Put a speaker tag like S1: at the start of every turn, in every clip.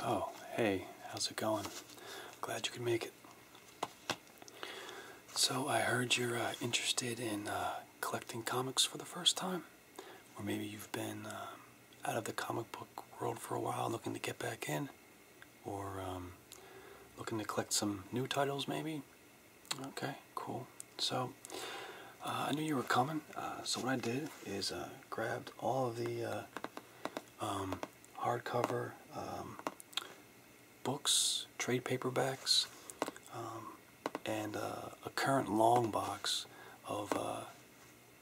S1: Oh, hey, how's it going? Glad you could make it. So, I heard you're uh, interested in uh, collecting comics for the first time, or maybe you've been um, out of the comic book world for a while looking to get back in or um, looking to collect some new titles maybe? Okay, cool. So uh, I knew you were coming, uh, so what I did is uh, grabbed all of the um, hardcover um, books, trade paperbacks, and a current long box of,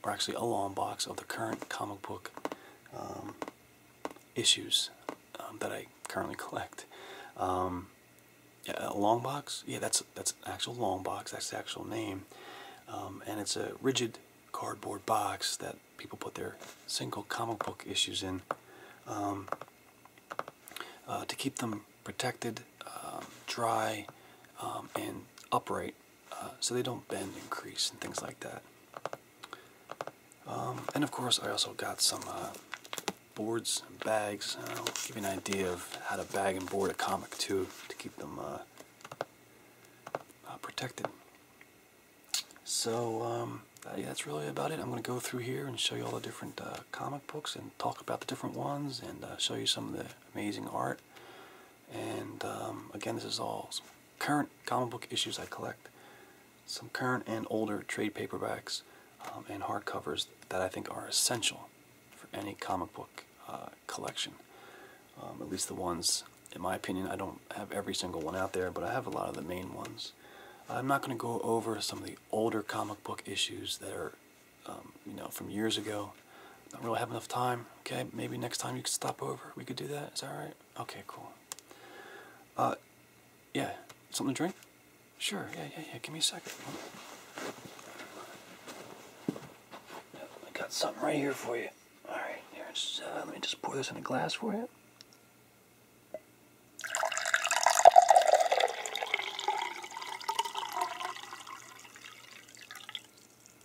S1: or actually a long box of the current comic book issues um, that I currently collect. Um, a long box, yeah, that's that's actual long box. That's the actual name, um, and it's a rigid cardboard box that people put their single comic book issues in uh, to keep them protected, dry, and upright, uh, so they don't bend and crease and things like that. Um, and of course, I also got some uh, boards and bags. Uh, i give you an idea of how to bag and board a comic too to keep them uh, protected. So um, yeah, that's really about it. I'm going to go through here and show you all the different comic books and talk about the different ones and show you some of the amazing art. And um, again, this is all current comic book issues I collect some current and older trade paperbacks um, and hardcovers that I think are essential for any comic book uh, collection. Um, at least the ones, in my opinion, I don't have every single one out there, but I have a lot of the main ones. I'm not going to go over some of the older comic book issues that are, um, you know, from years ago. I don't really have enough time. Okay, maybe next time you could stop over. We could do that. Is that all right? Okay, cool. Uh, yeah. Something to drink? Sure. Yeah, yeah, yeah. Give me a second. I got something right here for you. All right. Here, uh, let me just pour this in a glass for you.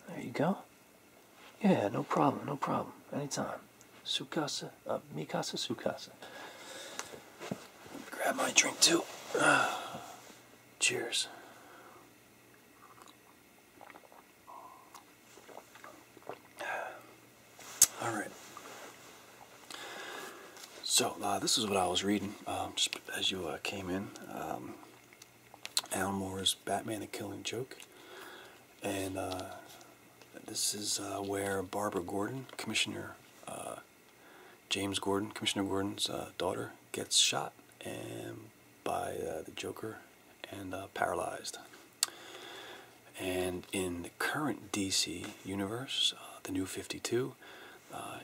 S1: There you go. Yeah, no problem, no problem. Anytime. Sukasa, uh, Mikasa Sukasa. Grab my drink too. cheers. All right. So uh, this is what I was reading um, just as you uh, came in. Um, Moore's Batman: The Killing Joke, and this is uh, where Barbara Gordon, Commissioner uh, James Gordon, Commissioner Gordon's uh, daughter, gets shot and by the Joker and paralyzed. And in the current DC universe, the New Fifty Two,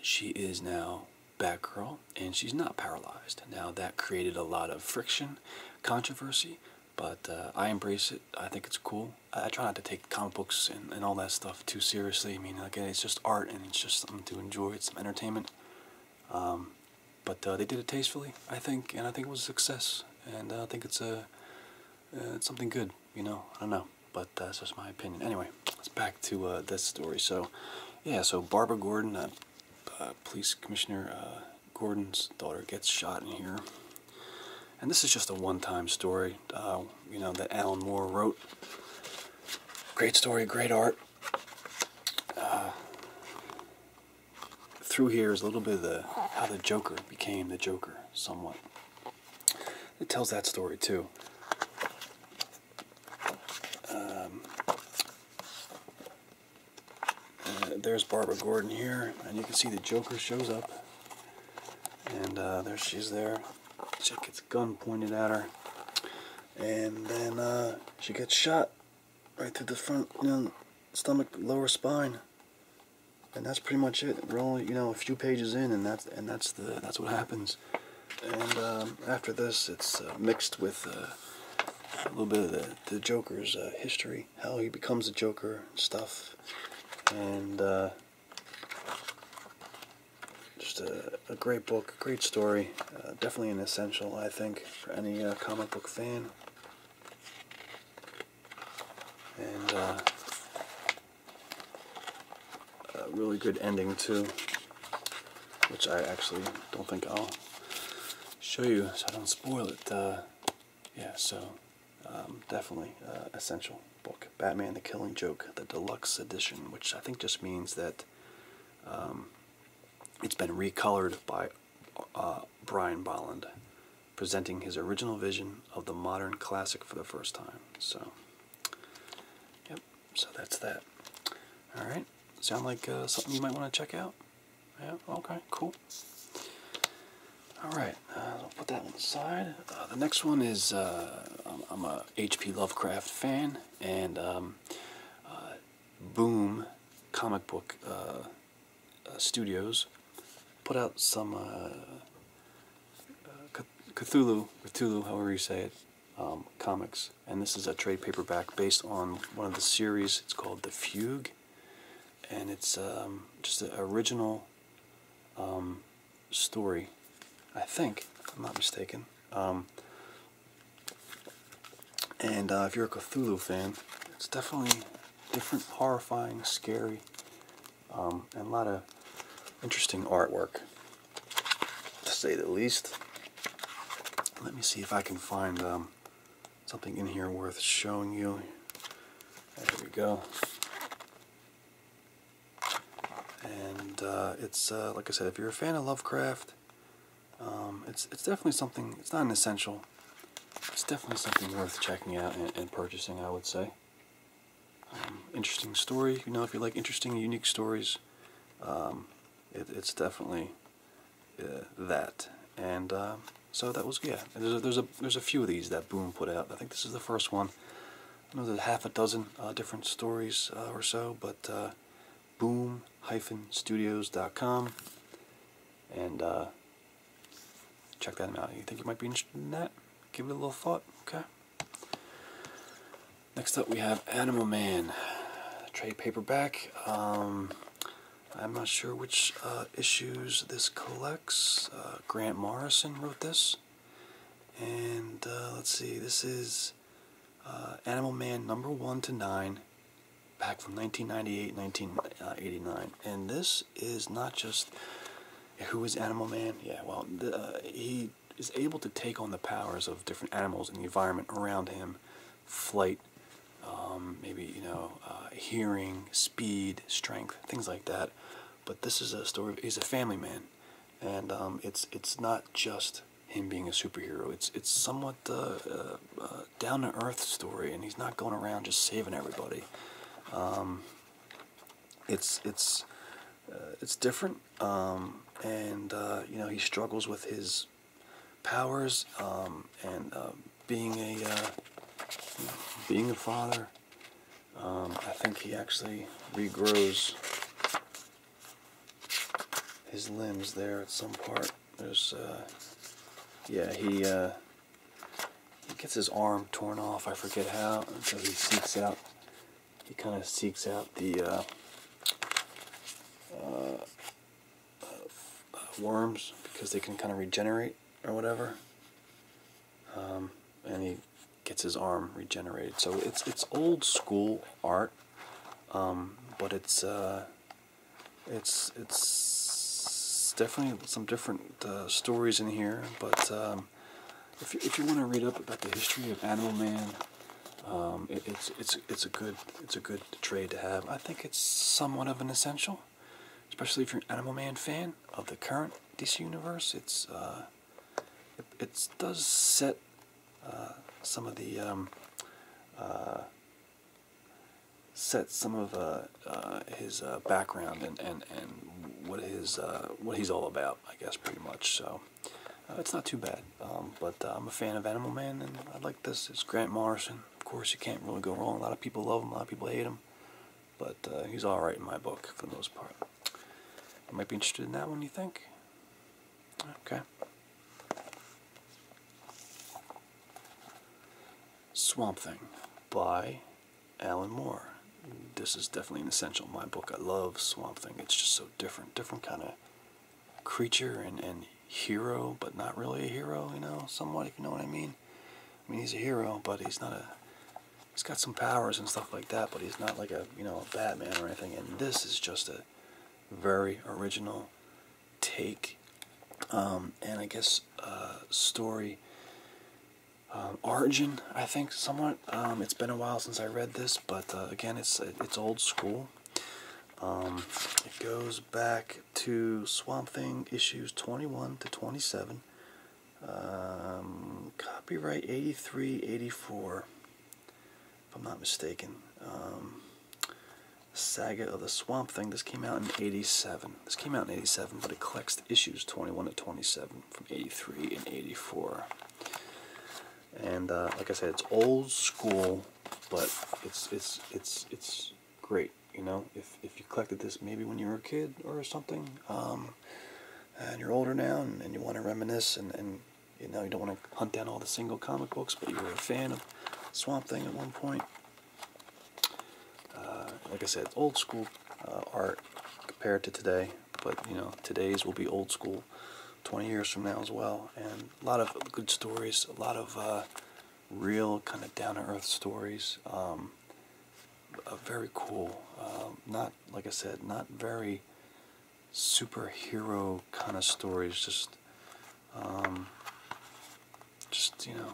S1: she is now Batgirl, and she's not paralyzed. Now that created a lot of friction, controversy. But uh, I embrace it. I think it's cool. I try not to take comic books and, and all that stuff too seriously. I mean, again, it's just art and it's just something to enjoy. It's some entertainment. Um, but uh, they did it tastefully, I think, and I think it was a success. And uh, I think it's a it's something good, you know. I don't know, but that's just my opinion. Anyway, let's back to this story. So, yeah, so Barbara Gordon, police commissioner Gordon's daughter, gets shot in here. And this is just a one-time story, uh, you know, that Alan Moore wrote. Great story, great art. Uh, through here is a little bit of the how the Joker became the Joker, somewhat. It tells that story too. Um, uh, there's Barbara Gordon here, and you can see the Joker shows up and uh, there she's there. Chick gets gun pointed at her. And then uh, she gets shot right through the front you know, stomach, lower spine. And that's pretty much it. We're only, you know, a few pages in, and that's and that's the that's what happens. And um, after this, it's uh, mixed with a little bit of the, Joker's history, how he becomes a Joker, and stuff, and just a, great book, great story, uh, definitely an essential, I think, for any uh, comic book fan. And uh, a really good ending, too, which I actually don't think I'll show you, so I don't spoil it. yeah, so um, definitely uh, essential book. Batman: The Killing Joke, the deluxe edition, which I think just means that um, it's been recolored by uh, Brian Bolland, presenting his original vision of the modern classic for the first time. So, yep. So that's that. All right. Sound like uh, something you might want to check out? Yeah. Okay. Cool. Alright, uh, I'll put that one aside. Uh, the next one is uh, I'm, a H.P. Lovecraft fan, and um, Boom Comic Book Studios put out some Cthulhu, Cthulhu, however you say it, um, comics. And this is a trade paperback based on one of the series. It's called The Fugue, and it's um, just an original story, I think, I'm not mistaken. Um, and uh, if you're a Cthulhu fan, it's definitely different, horrifying, scary, um, and a lot of interesting artwork, to say the least. Let me see if I can find um, something in here worth showing you. There we go. And uh, it's uh, like I said, if you're a fan of Lovecraft, um, it's it's definitely something. It's not an essential. It's definitely something worth checking out and, purchasing. I would say. Um, interesting story. You know, if you like interesting, unique stories, um, it's definitely uh, that. And so that was yeah. there's a there's a few of these that Boom put out. I think this is the first one. Another half a dozen uh, different stories uh, or so, but uh, boom-studios.com and check that out. You think you might be interested in that? Give it a little thought, okay? Next up, we have Animal Man, trade paperback. Um, I'm not sure which issues this collects. Grant Morrison wrote this. And uh, let's see, this is uh, Animal Man number 1 to 9, back from 1998 1989. Uh, and this is not just who is Animal Man? Yeah, well, he is able to take on the powers of different animals in the environment around him flight, um, maybe, you know, hearing, speed, strength, things like that. But this is a story, he's a family man and um, it's it's not just him being a superhero. It's it's somewhat uh, uh, down to earth story, and he's not going around just saving everybody. Um, it's it's uh, it's different, um, and uh, you know he struggles with his powers and being a being a father um, I think he actually regrows his limbs there at some point. There's, uh, yeah, he, uh, he gets his arm torn off, I forget how, and so he seeks out, he kind of seeks out the, uh, worms because they can kind of regenerate or whatever. Um, and he gets his arm regenerated. So it's it's old school art, um, but it's uh, it's it's definitely some different uh, stories in here. But um, if you, if you want to read up about the history of Animal Man, it's it's it's a good it's a good trade to have. I think it's somewhat of an essential, especially if you're an Animal Man fan of the current DC universe. It's uh, it, does set uh, some of the um, uh, set some of uh, his background and, and, and what his what he's all about, I guess, pretty much. So it's not too bad. Um, but I'm a fan of Animal Man, and I like this. It's Grant Morrison. Of course, you can't really go wrong. A lot of people love him. A lot of people hate him. But uh, he's alright in my book for the most part. You might be interested in that one, you think? Okay. Swamp Thing by Alan Moore. This is definitely an essential. My book, I love Swamp Thing. It's just so different, different kind of creature and, and hero, but not really a hero, you know, somewhat, if you know what I mean. I mean, he's a hero, but he's not a he's got some powers and stuff like that, but he's not like a, you know, a Batman or anything. And this is just a very original take um, and I guess uh, story um, origin, I think, somewhat. Um, it's been a while since I read this, but uh, again, it's it's old school. it goes back to Swamp Thing issues 21 to 27. Um, copyright 83, 84, if I'm not mistaken. Um, Saga of the Swamp Thing. This came out in 87. This came out in 87, but it collects issues 21 to 27 from 83 and 84. And uh, like I said, it's old school, but it's it's it's it's great. You know, if if you collected this maybe when you were a kid or something, um, and you're older now and, you want to reminisce and, you know you don't want to hunt down all the single comic books but you were a fan of Swamp Thing at one point uh, like I said old school uh, art compared to today but you know today's will be old school 20 years from now as well and a lot of good stories a lot of uh, real kind of down-to-earth stories um, very cool um, not like I said, not very superhero kind of stories. Just, um, just you know,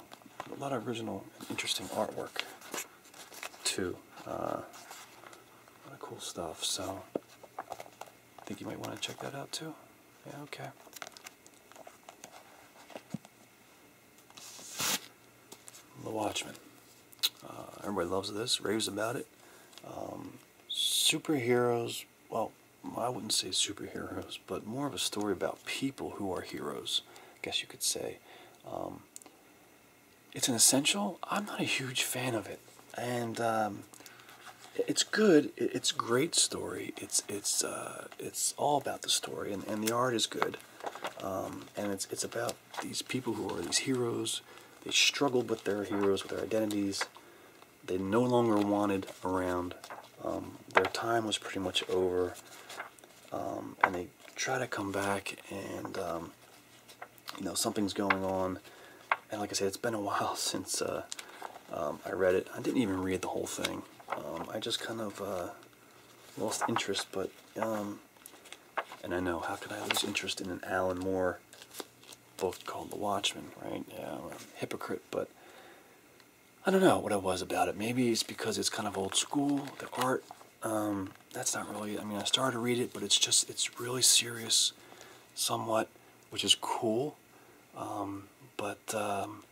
S1: a lot of original, interesting artwork too. Uh, a lot of cool stuff. So, I think you might want to check that out too. Yeah. Okay. The Watchmen. Uh, everybody loves this, raves about it. Um, superheroes, well, I wouldn't say superheroes, but more of a story about people who are heroes, I guess you could say. Um, it's an essential. I'm not a huge fan of it. And um, it's good. It's great story. It's it's uh, it's all about the story, and, and the art is good. and it's it's about these people who are these heroes. They struggled with their heroes, with their identities. They no longer wanted around. Um, their time was pretty much over. Um, and they try to come back and, um, you know, something's going on. And like I said, it's been a while since uh, I read it. I didn't even read the whole thing. I just kind of uh, lost interest, but, and I know, how can I lose interest in an Alan Moore book called The Watchman, right? Yeah, I'm a hypocrite, but I don't know what it was about it. Maybe it's because it's kind of old school, the art. Um, that's not really, I mean, I started to read it, but it's just, it's really serious somewhat, which is cool. Um, but um,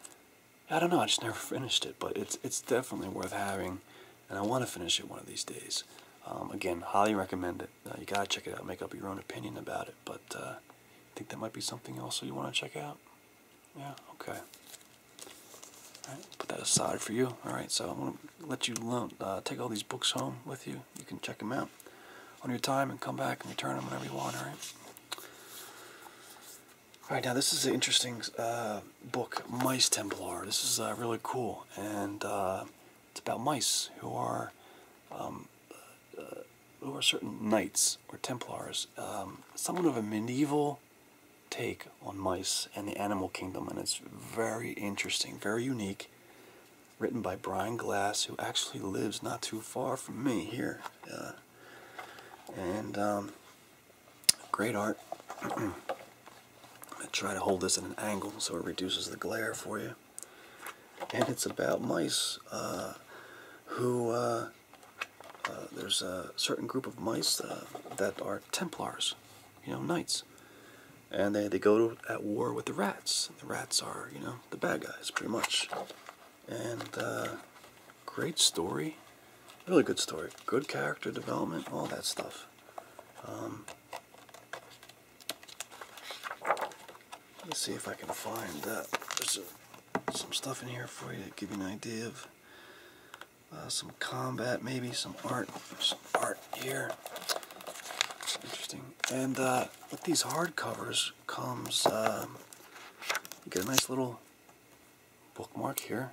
S1: I don't know, I just never finished it, but it's, it's definitely worth having and I want to finish it one of these days. Um, again, highly recommend it. Uh, you gotta check it out. Make up your own opinion about it. But uh, I think that might be something else you want to check out. Yeah. Okay. All right, put that aside for you. All right. So I'm gonna let you uh, take all these books home with you. You can check them out on your time and come back and return them whenever you want. All right. All right. Now this is an interesting book, Mice Templar. This is really cool and it's about mice who are um, uh, who are certain knights or Templars, um, somewhat of a medieval take on mice and the animal kingdom, and it's very interesting, very unique. Written by Brian Glass, who actually lives not too far from me here, uh, and um, great art. i try to hold this at an angle so it reduces the glare for you. And it's about mice uh, who, uh, uh, there's a certain group of mice that are Templars, you know, knights. And they, they go at war with the rats. The rats are, you know, the bad guys, pretty much. And great story. Really good story. Good character development, all that stuff. Um, Let's see if I can find that. There's some stuff in here for you to give you an idea of uh, some combat, maybe some art. some art here. interesting. And uh, with these hardcovers comes, um, you get a nice little bookmark here.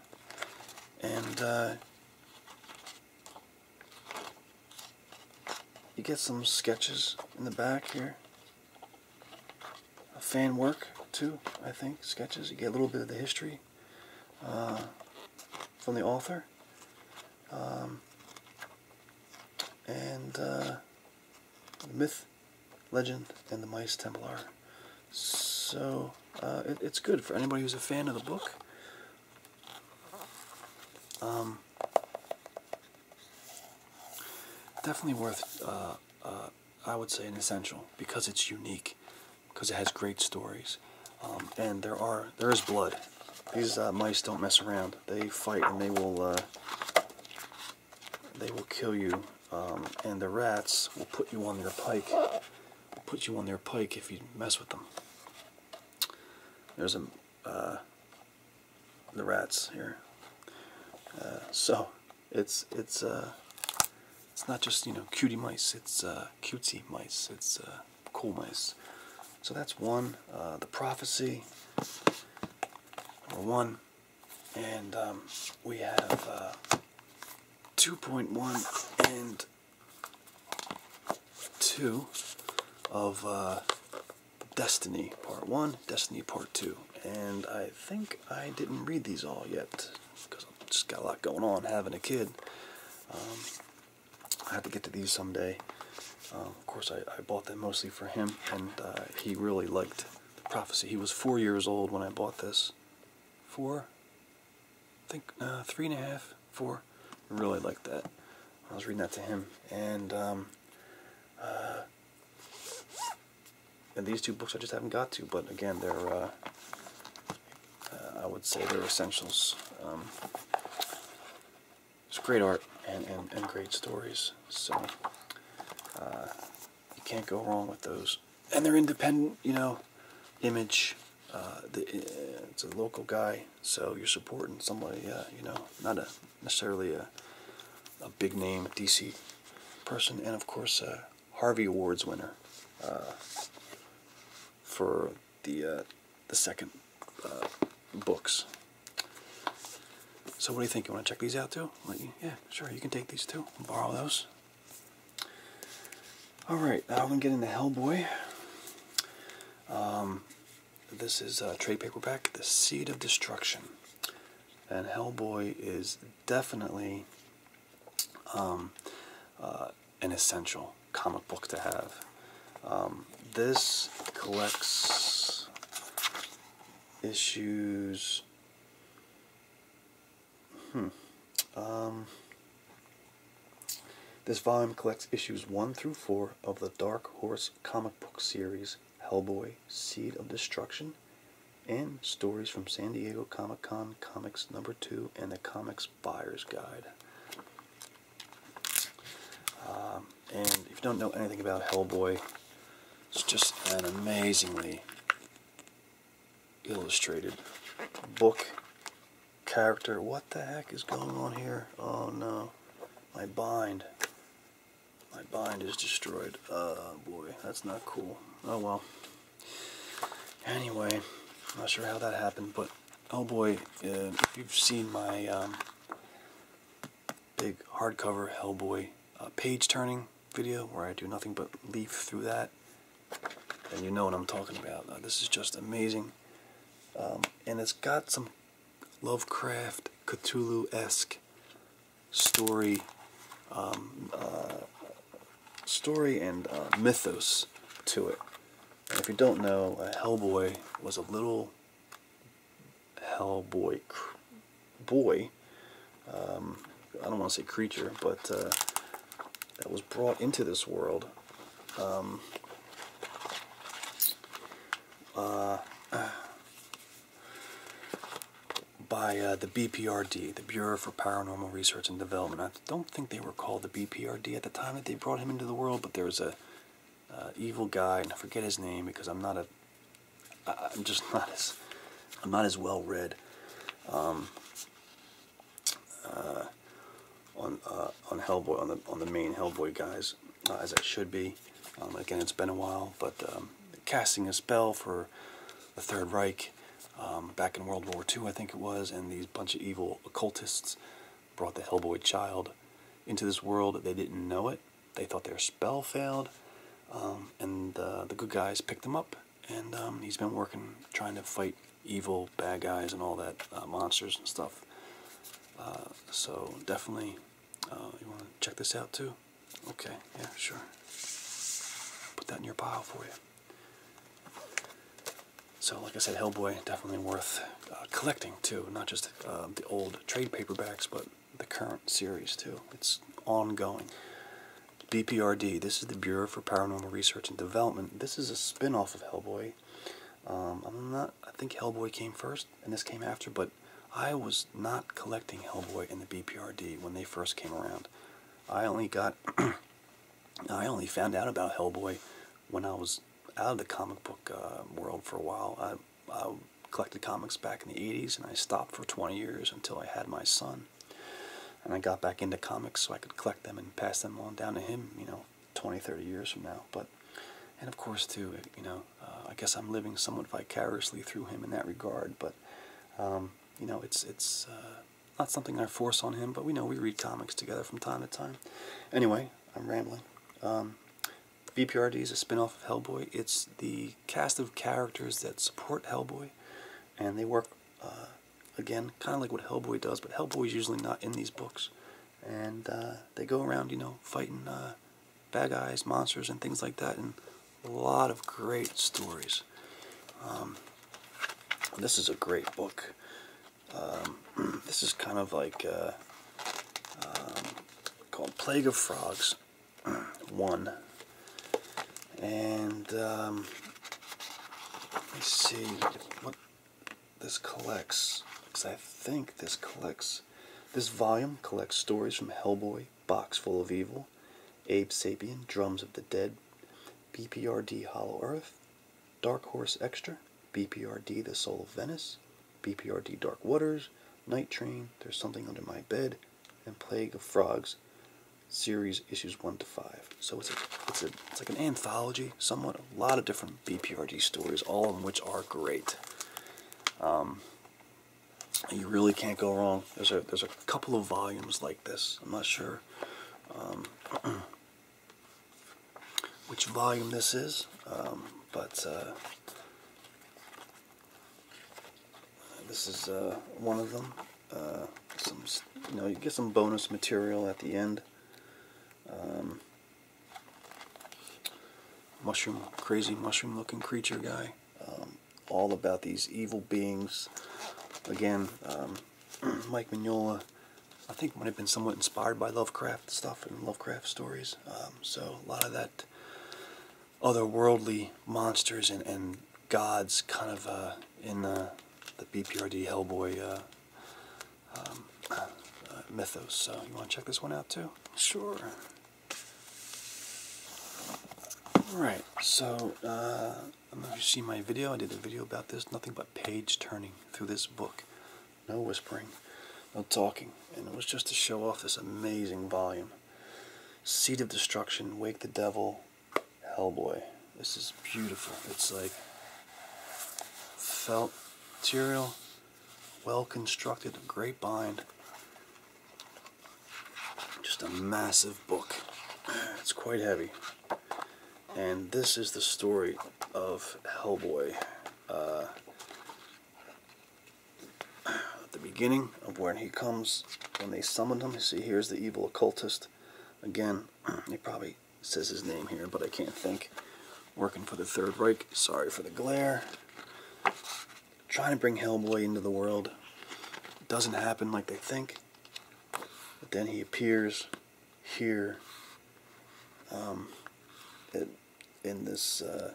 S1: And uh, you get some sketches in the back here. A fan work too, I think, sketches. You get a little bit of the history uh, from the author. Um, and uh, myth, legend, and the mice Templar. So uh, it's good for anybody who's a fan of the book um, definitely worth, uh, uh, I would say, an essential because it's unique, because it has great stories, um, and there are there is blood. These uh, mice don't mess around. They fight and they will they will kill you, um, and the rats will put you on their pike. put you on their pike if you mess with them. There's a uh, the rats here. Uh, so it's it's uh, it's not just you know cutie mice. It's uh, cutesy mice. It's cool mice. So that's one. the prophecy. Number one, and um, we have 2.1 and two of uh, Destiny Part 1, Destiny Part 2. And I think I didn't read these all yet because I've just got a lot going on having a kid. Um, I have to get to these someday. Um, of course, I, bought them mostly for him, and uh, he really liked the prophecy. He was four years old when I bought this. Four? I think, uh, three and a half. Four, really like that. I was reading that to him. And, um, uh, and these two books I just haven't got to, but again, they're, uh, uh I would say they're essentials. Um, it's great art and, and, and great stories, so uh, you can't go wrong with those. And they're independent, you know, image. Uh, the, uh, it's a local guy so you're supporting somebody, uh, you know, not necessarily a, a big name DC person, and of course a uh, Harvey Awards winner uh, for the the second books. So what do you think? You want to check these out too? yeah, sure. You can take these too. i borrow those. All right, I'm gonna get into Hellboy. Um, this is a uh, trade paperback, The Seed of Destruction. And Hellboy is definitely um, uh, an essential comic book to have. Um, this collects issues. Hmm. Um, this volume collects issues 1 through 4 of the Dark Horse comic book series Hellboy Seed of Destruction and stories from San Diego Comic Con Comics Number 2 and the Comics Buyer's Guide. Um, and if you don't know anything about Hellboy, it's just an amazingly illustrated book character. What the heck is going on here? Oh no. My bind. My bind is destroyed. Oh boy, that's not cool. Oh, well. Anyway, not sure how that happened, but oh boy, uh, if you've seen my um, big hardcover Hellboy uh, page turning video where I do nothing but leaf through that, then you know what I'm talking about. this is just amazing. Um, and it's got some Lovecraft, Cthulhu esque story, um, uh, story and uh, mythos to it. if you don't know, uh, Hellboy was a little Hellboy boy. Um, I don't want to say creature, but uh, that was brought into this world um, uh, by uh, the BPRD, the Bureau for Paranormal Research and Development. I don't think they were called the BPRD at the time that they brought him into the world, but there was a uh, evil guy, and I forget his name because I'm not a, I, I'm just not as, I'm not as well read, um, uh, on on Hellboy on the on the main Hellboy guys as I should be. Um, again, it's been a while, but um, casting a spell for the Third Reich um, back in World War II, I think it was, and these bunch of evil occultists brought the Hellboy child into this world. They didn't know it. They thought their spell failed, and the good guys picked him up, and he's been working, trying to fight evil bad guys and all that uh, monsters and stuff. Uh, so definitely uh, you want to check this out too? Okay, yeah, sure. Put that in your pile for you. So, like I said, Hellboy definitely worth uh, collecting too. Not just um, the old trade paperbacks, but the current series too. It's ongoing. BPRD. This is the Bureau for Paranormal Research and Development. This is a spin-off of Hellboy. Um, I'm not. I think Hellboy came first and this came after, but I was not collecting Hellboy and the BPRD when they first came around. I only got, I only found out about Hellboy when I was out of the comic book uh, world for a while. I collected comics back in the 80s and I stopped for 20 years until I had my son. And I got back into comics so I could collect them and pass them on down to him, you know, 20, 30 years from now. But, and of course, too, you know, uh, I guess I'm living somewhat vicariously through him in that regard. But um, you know, it's it's uh, not something I force on him. But we know we read comics together from time to time. Anyway, I'm rambling. Um, BPRD is a spinoff of Hellboy. It's the cast of characters that support Hellboy, and they work uh, again, kind of like what Hellboy does. But Hellboy is usually not in these books and uh, they go around, you know, fighting uh, bad guys, monsters, and things like that, and a lot of great stories. Um, this is a great book. Um, this is kind of like uh, um, called Plague of Frogs 1. And let us see what this collects, because I think this collects this volume collects stories from Hellboy, Box Full of Evil, Abe Sapien, Drums of the Dead, BPRD Hollow Earth, Dark Horse Extra, BPRD The Soul of Venice, BPRD Dark Waters, Night Train, There's Something Under My Bed, and Plague of Frogs, series issues 1 to 5. So it's a, it's, a, it's like an anthology, somewhat a lot of different BPRD stories, all of which are great. Um, you really can't go wrong. There's a there's a couple of volumes like this. I'm not sure um, which volume this is, um, but uh, this is uh, one of them. Uh, you know you get some bonus material at the end. Um, mushroom, crazy mushroom looking creature guy. Um, all about these evil beings. Again, um, Mike Mignola, I think, might have been somewhat inspired by Lovecraft stuff and Lovecraft stories. Um, so a lot of that otherworldly monsters and, gods kind of uh, in uh, the, the BPRD Hellboy uh, mythos. So you want to check this one out too? Sure. Alright, so uh, I'm you to see my video. I did a video about this. Nothing but page turning through this book. No whispering, no talking. And it was just to show off this amazing volume. Seed of Destruction, Wake the Devil, Hellboy. This is beautiful. It's like felt material well constructed, a great bind. Just a massive book. It's quite heavy. And this is the story of Hellboy. Uh, the beginning of when he comes, when they summon him, you see here's the evil occultist. Again, he probably says his name here, but I can't think. Working for the Third Reich. Sorry for the glare trying to bring Hellboy into the world. doesn't happen like they think. But then he appears here um, in this, uh,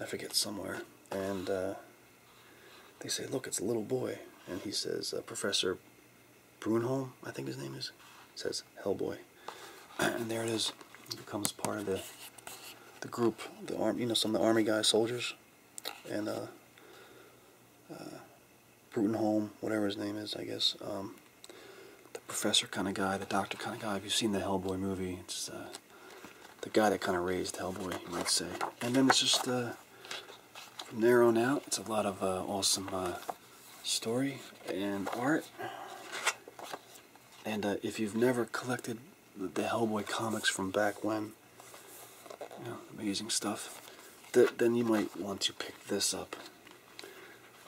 S1: I forget somewhere, and uh, they say, look, it's a little boy. And he says, uh, Professor Brunholm, I think his name is, says Hellboy. and there it is. becomes part of the the group, the army you know, some of the army guys, soldiers, and uh, uh, whatever his name is, I guess. Um, the professor kind of guy, the doctor kind of guy. Have you seen the Hellboy movie, it's uh, the guy that kind of raised Hellboy, you might say. And then it's just uh, from there on out, it's a lot of uh, awesome uh, story and art. And if you've never collected the, Hellboy comics from back when. amazing stuff. then you might want to pick this up.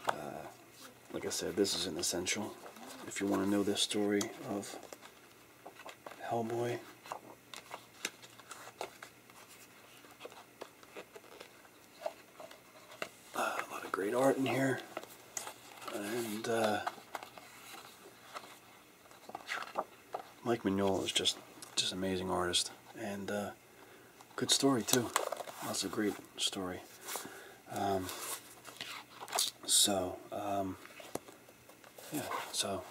S1: Uh, like I said, this is an essential. If you want to know the story of Hellboy, uh, a lot of great art in here, and uh, Mike Mignola is just just amazing artist and uh, good story too. That's a great story. Um, so um, yeah, so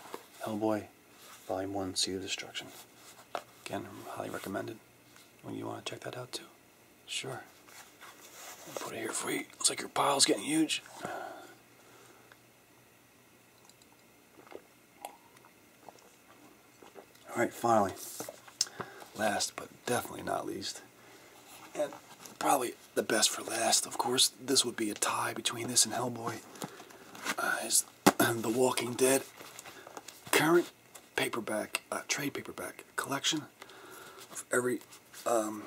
S1: Hellboy Volume One: Sea of Destruction. Again, highly recommended. When you want to check that out too, sure. Put it here for you. Looks like your pile's getting huge. All right, finally, last but definitely not least, and probably the best for last, of course, this would be a tie between this and Hellboy, uh, is The Walking Dead current paperback, uh, trade paperback collection of every, um,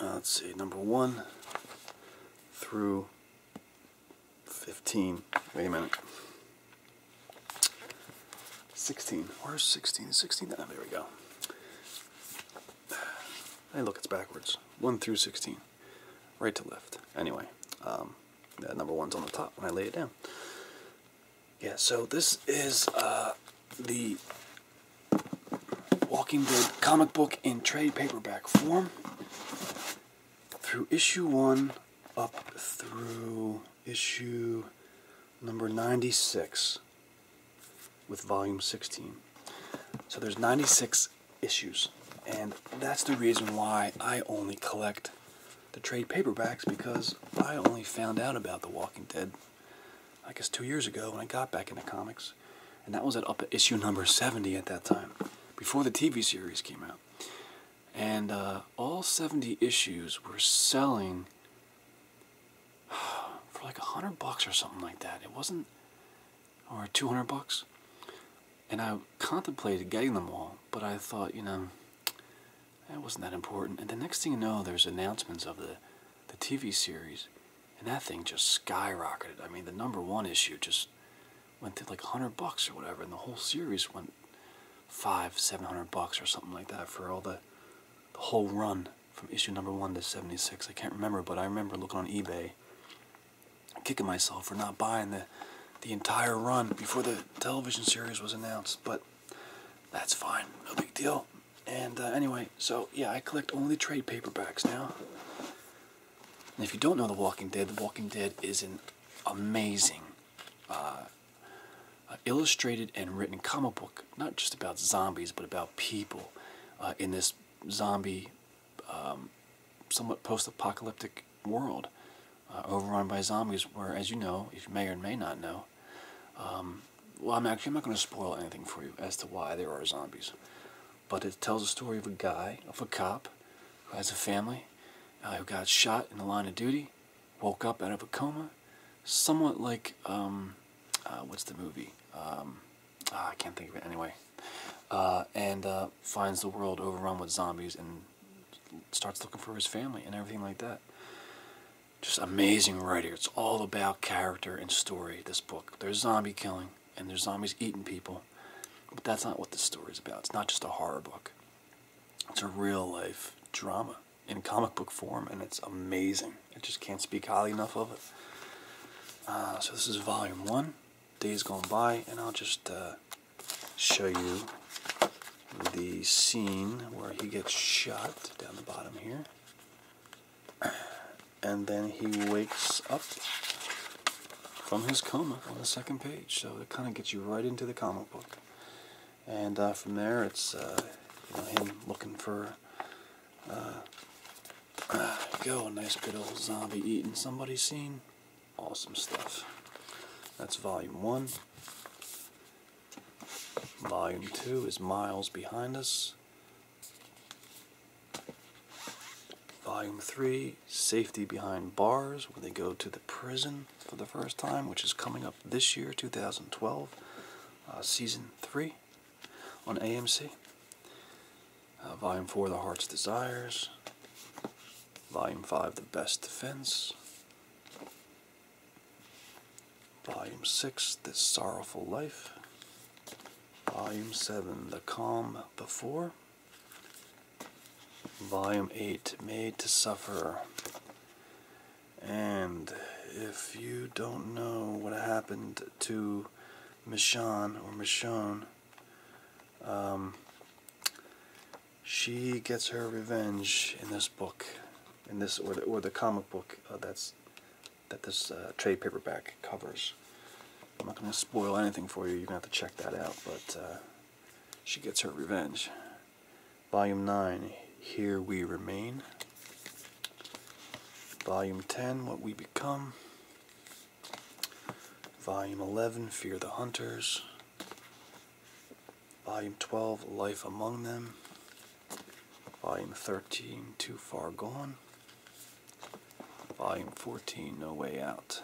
S1: uh, let's see, number 1 through 15. Wait a minute. 16. Where's 16? 16? there we go. Hey, look, it's backwards. 1 through 16. Right to left. Anyway, um, number 1's on the top when I lay it down. Yeah, so this is uh, the Walking Dead comic book in trade paperback form through issue 1 up through issue number 96 with volume 16. So there's 96 issues and that's the reason why I only collect the trade paperbacks because I only found out about The Walking Dead I guess two years ago when I got back into comics. And that was at issue number 70 at that time, before the TV series came out. And uh, all 70 issues were selling for like 100 bucks or something like that. It wasn't, or 200 bucks. And I contemplated getting them all, but I thought, you know, that wasn't that important. And the next thing you know, there's announcements of the, the TV series and that thing just skyrocketed. I mean, the number one issue just went to like 100 bucks or whatever, and the whole series went five, 700 bucks or something like that for all the the whole run from issue number one to 76. I can't remember, but I remember looking on eBay, kicking myself for not buying the the entire run before the television series was announced, but that's fine, no big deal and uh, anyway, so yeah, I collect only trade paperbacks now. if you don't know The Walking Dead, The Walking Dead is an amazing uh, uh, illustrated and written comic book, not just about zombies, but about people in this zombie, um, somewhat post apocalyptic world, overrun by zombies, where, as you know, if you may or may not know, um, well, I'm actually I'm not going to spoil anything for you as to why there are zombies, but it tells the story of a guy, of a cop, who has a family, uh, who got shot in the line of duty, woke up out of a coma, somewhat like um, uh, what's the movie? Um, ah, I can't think of it anyway. Uh, and uh, finds the world overrun with zombies and starts looking for his family and everything like that. Just amazing writer. It's all about character and story, this book there's zombie killing and there's zombies eating people. But that's not what the story is about. It's not just a horror book. It's a real life drama in comic book form, and it's amazing. I just can't speak highly enough of it. Uh, so this is volume one, days gone by, and I'll just uh, show you the scene where he gets shot down the bottom here and then he wakes up from his coma on the second page. So it kind of gets you right into the comic book. And uh, from there, it's uh, him looking for. Uh, go, nice good old zombie eating somebody scene. Awesome stuff. That's volume one. Volume two is miles behind us. Volume 3 Safety Behind Bars, where they go to the prison for the first time, which is coming up this year, 2012, uh, Season 3 on AMC. Uh, volume 4 The Heart's Desires. Volume 5 The Best Defense. Volume 6 This Sorrowful Life. Volume 7, The Calm Before. Volume 8, Made to Suffer. And if you don't know what happened to Michonne or Michonne, um, she gets her revenge in this book, in this or the, comic book uh, that's that this uh, trade paperback covers. I'm not going to spoil anything for you. You're going to have to check that out. But uh, she gets her revenge. Volume 9, Here We Remain. Volume 10, What We Become. Volume 11, Fear the Hunters. Volume 12, Life Among Them. Volume 13, Too Far Gone. Volume 14, No Way Out.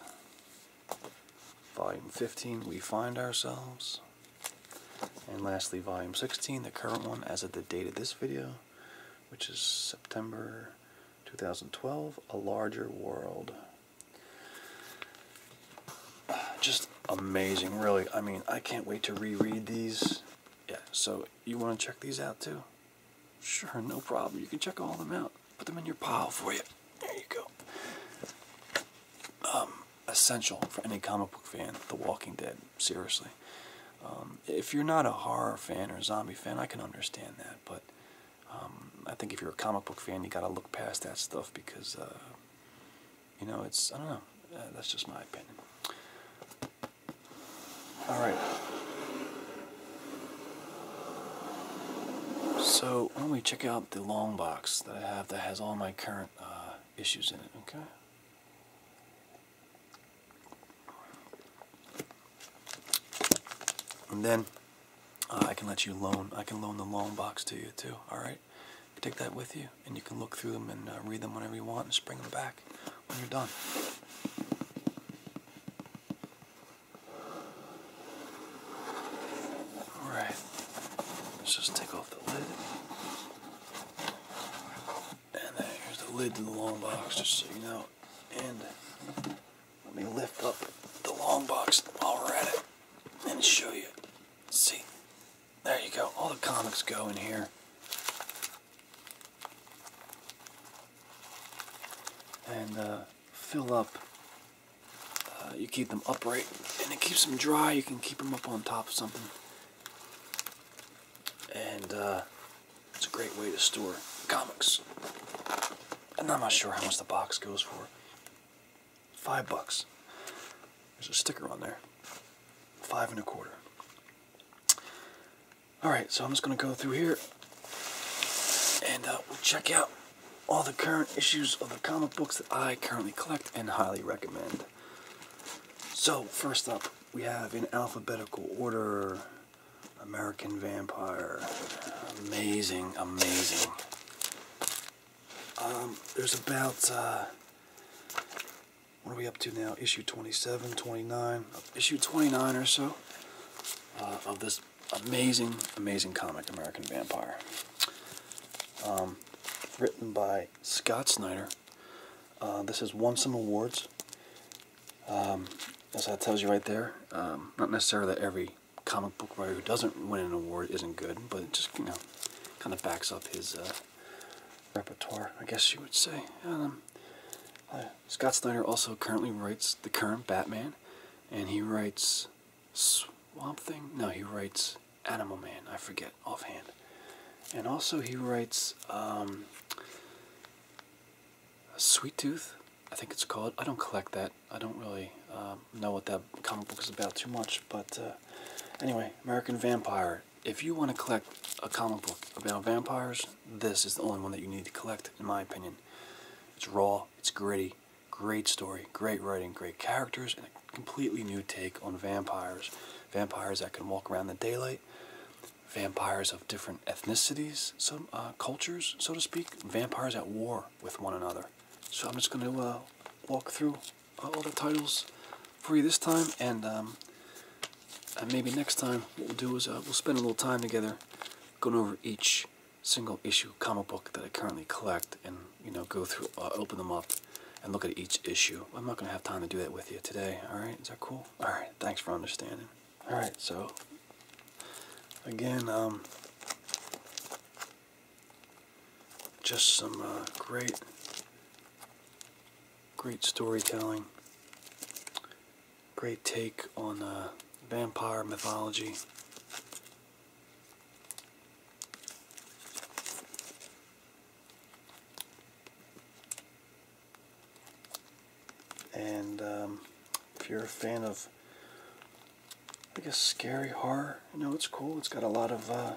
S1: Volume 15, We Find Ourselves. And lastly, Volume 16, the current one as of the date of this video, which is September 2012, A Larger World. Just amazing, really. I mean, I can't wait to reread these. Yeah, so you want to check these out too? Sure, no problem. You can check all of them out. Put them in your pile for you. There you go. Um, essential for any comic book fan, The Walking Dead. Seriously. Um, if you're not a horror fan or a zombie fan, I can understand that, but um, I think if you're a comic book fan, you gotta look past that stuff because, uh, you know, it's, I don't know, uh, that's just my opinion. All right. So why don't we check out the long box that I have that has all my current uh, issues in it, okay? And then uh, I can let you loan, I can loan the long box to you too, all right? Take that with you and you can look through them and uh, read them whenever you want and just bring them back when you're done. Alright, let's just take off the lid. And there's the lid to the long box, just so you know. And let me lift up the long box while we're at it and show you. See, there you go. All the comics go in here and uh, fill up. Uh, you keep them upright and it keeps them dry. You can keep them up on top of something. And uh, it's a great way to store comics. I'm not sure how much the box goes for. Five bucks. There's a sticker on there. Five and a quarter. Alright, so I'm just going to go through here and uh, we'll check out all the current issues of the comic books that I currently collect and highly recommend. So, first up, we have in alphabetical order American Vampire. Amazing, amazing. Um, there's about, uh, what are we up to now? Issue 27, 29, issue 29 or so. Uh, of this amazing, amazing comic, American Vampire. Um, written by Scott Snyder. Uh, this has won some awards. Um, as that tells you right there, um, not necessarily that every comic book writer who doesn't win an award isn't good, but it just, you know, kind of backs up his uh, repertoire, I guess you would say. Scott Snyder also currently writes the current Batman, and he writes Swamp Thing. No, he writes Animal Man. I forget offhand. And also he writes um, Sweet Tooth. I think it's called. I don't collect that. I don't really um, know what that comic book is about too much. But uh, anyway, American Vampire. If you want to collect a comic book about vampires, this is the only one that you need to collect, in my opinion. It's raw, it's gritty, great story, great writing, great characters, and a completely new take on vampires. Vampires that can walk around the daylight, vampires of different ethnicities, some uh, cultures, so to speak, vampires at war with one another. So I'm just going to uh, walk through uh, all the titles for you this time, and um, maybe next time what we'll do is we'll spend a little time together going over each single issue comic book that I currently collect and, you know, go through, uh, open them up and look at each issue. I'm not going to have time to do that with you today, alright? Is that cool? Alright, thanks for understanding. Alright, so, again, um, just some uh, great, great storytelling great take on uh, vampire mythology. And um, if you're a fan of, I guess, scary horror, you know, it's cool. It's got a lot of, uh,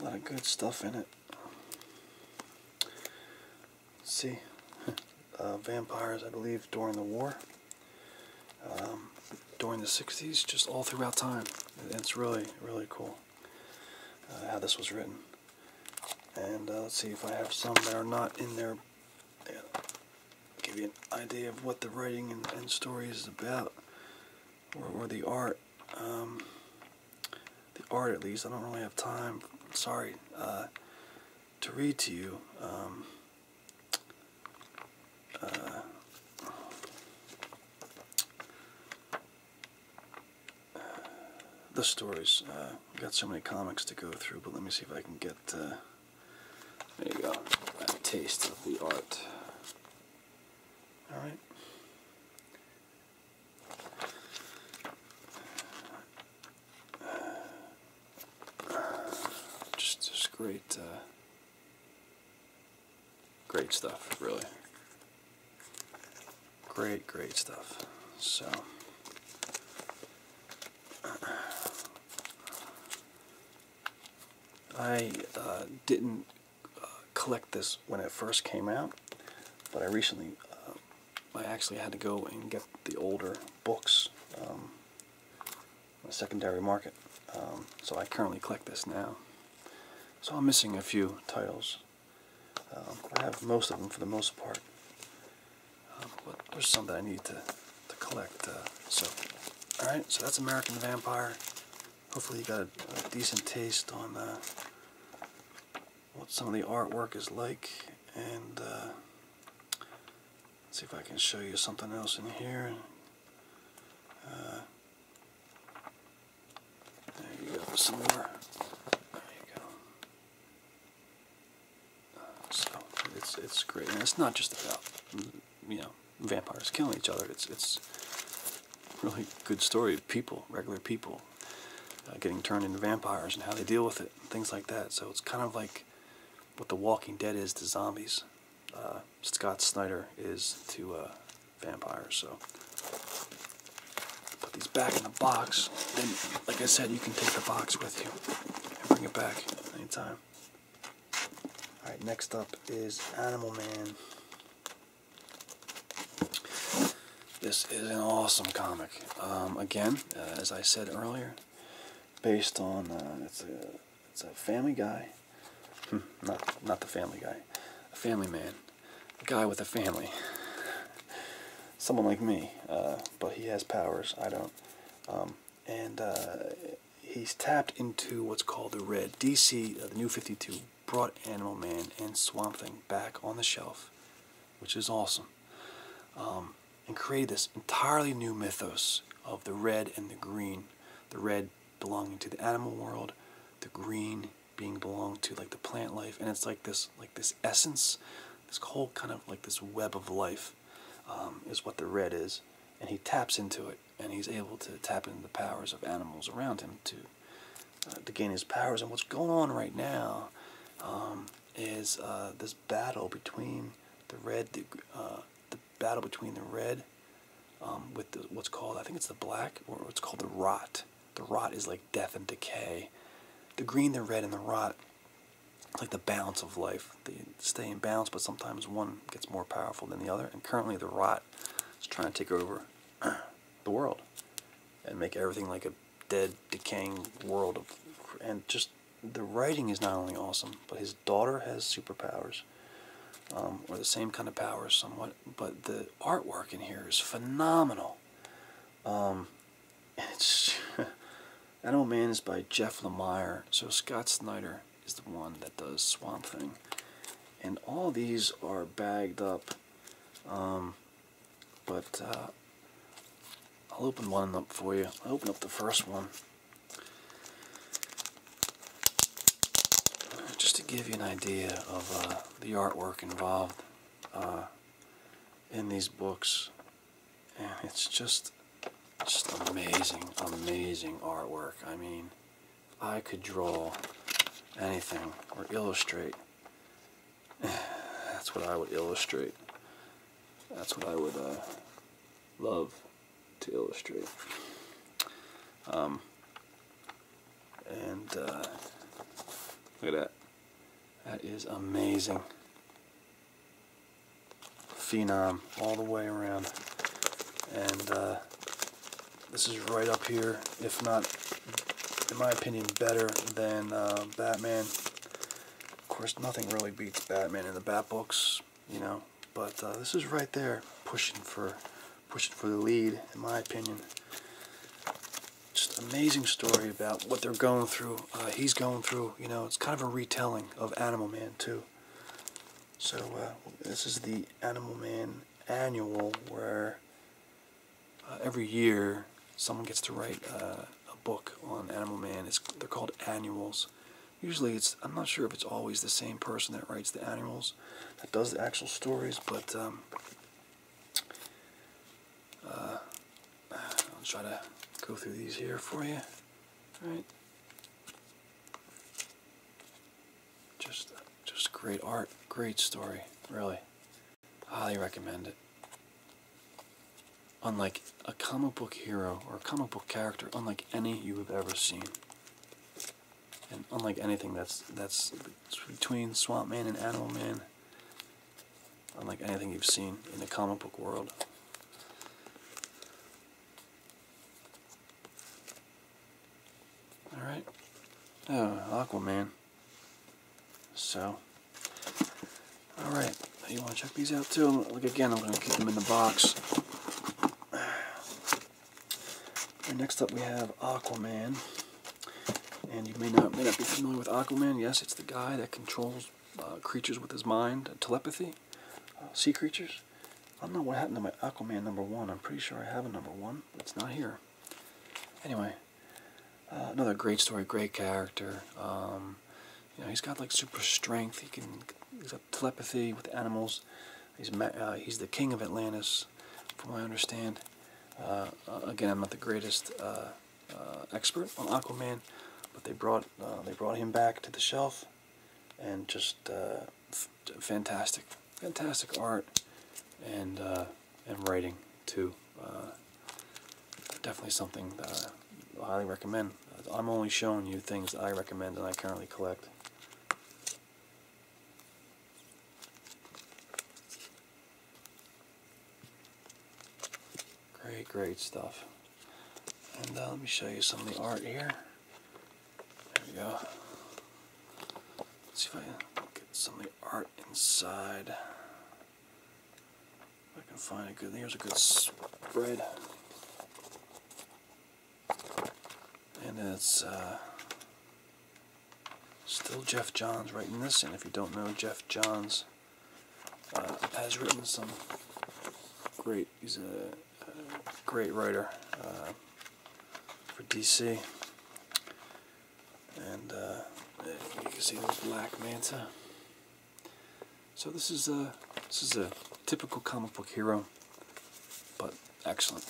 S1: a lot of good stuff in it see uh, vampires, I believe, during the war, um, during the 60s, just all throughout time. It's really, really cool uh, how this was written. And uh, let's see if I have some that are not in there. Give you an idea of what the writing and, story is about, or, the art. Um, the art, at least. I don't really have time. Sorry to read to you. Um, uh, the stories. Uh, got so many comics to go through, but let me see if I can get. Uh, there you go. A taste of the art. All right just just great, uh, great stuff, really. Great, great stuff. So. I uh, didn't uh, collect this when it first came out, but I recently I actually had to go and get the older books on um, the secondary market. Um, so I currently collect this now. So I'm missing a few titles. Um, I have most of them for the most part. but there's some that I need to, to collect. Uh, so, alright, so that's American Vampire. Hopefully you got a, decent taste on uh, what some of the artwork is like and uh, see if I can show you something else in here. Uh, there you go, some more. There you go. so it's it's great, it's not just about you know vampires killing each other. It's it's really good story of people, regular people, uh, getting turned into vampires and how they deal with it, and things like that. So it's kind of like what The Walking Dead is to zombies. Uh, Scott Snyder is to uh, vampires. So put these back in the box. Then, like I said, you can take the box with you and bring it back anytime. All right, next up is Animal Man. This is an awesome comic. Um, again, uh, as I said earlier, based on uh, it's a it's a Family Guy, hmm, not not the Family Guy, a Family Man, a guy with a family, someone like me, uh, but he has powers. I don't, um, and uh, he's tapped into what's called the Red DC. Uh, the New Fifty Two brought Animal Man and Swamp Thing back on the shelf which is awesome, um, and created this entirely new mythos of the red and the green. The red belonging to the animal world, the green being belonged to like the plant life, and it's like this like this essence, this whole kind of like this web of life um, is what the red is, and he taps into it, and he's able to tap into the powers of animals around him to uh, to gain his powers. And what's going on right now um, is uh, this battle between the red, the, uh, battle between the red um, with what's called, I think it's the black, or what's called the rot. The rot is like death and decay. The green, the red, and the rot, it's like the balance of life. They stay in balance, but sometimes one gets more powerful than the other. And currently, the rot is trying to take over the world and make everything like a dead, decaying world of, and just the writing is not only awesome, but his daughter has superpowers, um, or the same kind of powers somewhat. But the artwork in here is phenomenal. Um, it's Animal Man is by Jeff Lemire. So Scott Snyder is the one that does Swamp Thing, and all these are bagged up. Um, but uh, I'll open one up for you. I'll open up the first one. Just to give you an idea of uh, the artwork involved uh, in these books. And it's just, just amazing, amazing artwork. I mean, I could draw anything or illustrate. That's what I would illustrate. That's what I would uh, love to illustrate. Um, and uh, look at that. That is amazing. Phenom all the way around. And uh, this is right up here, if not, in my opinion, better than uh, Batman of course, nothing really beats Batman in the Bat books, you know. But uh, this is right there, pushing for, pushing for the lead, in my opinion. Just amazing story about what they're going through. Uh, he's going through, you know. It's kind of a retelling of Animal Man too. So uh, this is the Animal Man annual, where every year someone gets to write a book on Animal Man. they're called annuals. Usually it's, I'm not sure if it's always the same person that writes the annuals, that does the actual stories, but um, uh, I'll try to go through these here for you. All right. Just, just great art, great story, really. Highly recommend it unlike a comic book hero or a comic book character, unlike any you have ever seen. And unlike anything that's that's between Swamp Man and Animal Man, unlike anything you've seen in the comic book world. Alright. Oh, Aquaman. So all right, you want to check these out too? Look again, I'm going to keep them in the box. next up we have Aquaman. And you may not, may not be familiar with Aquaman. Yes, it's the guy that controls uh, creatures with his mind, telepathy, uh, sea creatures. I don't know what happened to my Aquaman number one. I'm pretty sure I have a number one, but it's not here. Anyway, uh, another great story, great character. Um, you know, he's got like super strength. He can. He's got telepathy with animals. He's uh, he's the king of Atlantis, from what I understand. Uh, uh, again, I'm not the greatest expert on Aquaman, but they brought they brought him back to the shelf, and just fantastic, fantastic art, and and writing too. definitely something highly recommend. I'm only showing you things I recommend and I currently collect. Great, great stuff. And uh, let me show you some of the art here. There we go. Let's see if I can get some of the art inside. I can find a good, here's a good spread. And it's uh, still Jeff Johns writing this, and if you don't know, Jeff Johns uh, has written some great, he's a, great writer uh, for DC. And you can see the Black Manta. So this is a this is a typical comic book hero, but excellent.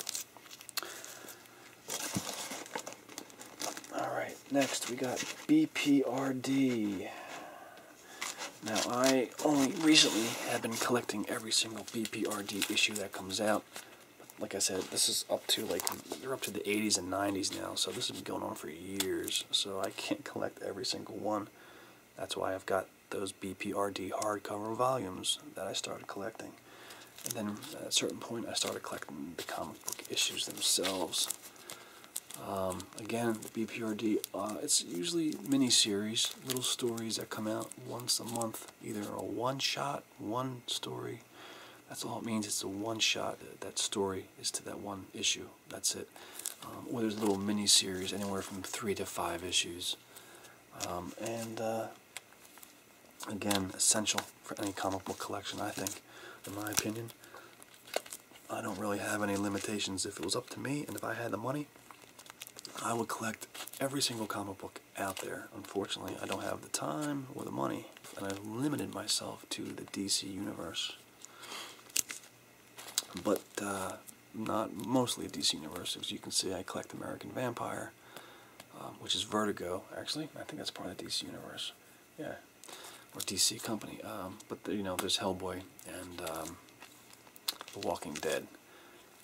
S1: All right, next we got BPRD. Now I only recently have been collecting every single BPRD issue that comes out. Like I said, this is up to like they're up to the 80s and 90s now, so this has been going on for years. So I can't collect every single one. That's why I've got those BPRD hardcover volumes that I started collecting. And then at a certain point, I started collecting the comic book issues themselves. Um, again, BPRD, uh, it's usually mini-series, little stories that come out once a month, either a one-shot, one story. That's all it means, it's a one-shot, that story is to that one issue. That's it. Um, or there's a little mini series, anywhere from three to five issues. Um, and uh, again, essential for any comic book collection, I think, in my opinion. I don't really have any limitations. If it was up to me and if I had the money, I would collect every single comic book out there. Unfortunately, I don't have the time or the money, and I've limited myself to the DC Universe but uh, not mostly at DC Universe. As you can see, I collect American Vampire, um, which is Vertigo, actually. I think that's part of the DC Universe. Yeah, or DC Company. Um, but, you know, there's Hellboy and um, The Walking Dead.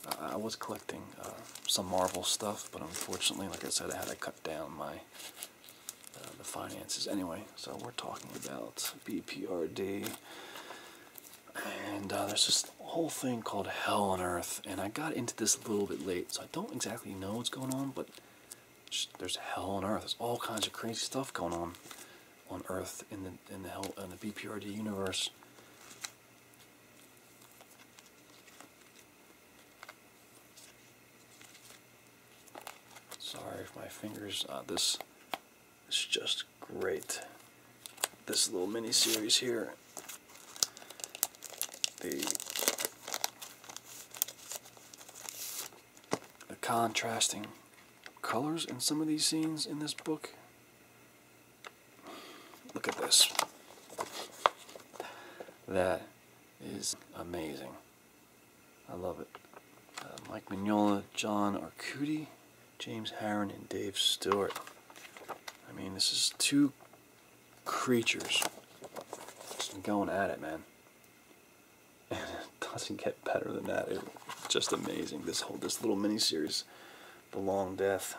S1: Uh, I was collecting uh, some Marvel stuff, but unfortunately, like I said, I had to cut down my the finances. Anyway, so we're talking about BPRD and uh, there's this whole thing called Hell on Earth, and I got into this a little bit late, so I don't exactly know what's going on, but there's Hell on Earth. There's all kinds of crazy stuff going on on Earth in the in the hell in the BPRD universe. Sorry if my fingers. Uh, this it's just great. This little mini series here. The the contrasting colors in some of these scenes in this book. Look at this. That is amazing. I love it. Uh, Mike Mignola, John Arcudi, James Harron and Dave Stewart. I mean, this is two creatures just going at it, man. And it doesn't get better than that. It's just amazing. This whole this little mini series, The Long Death.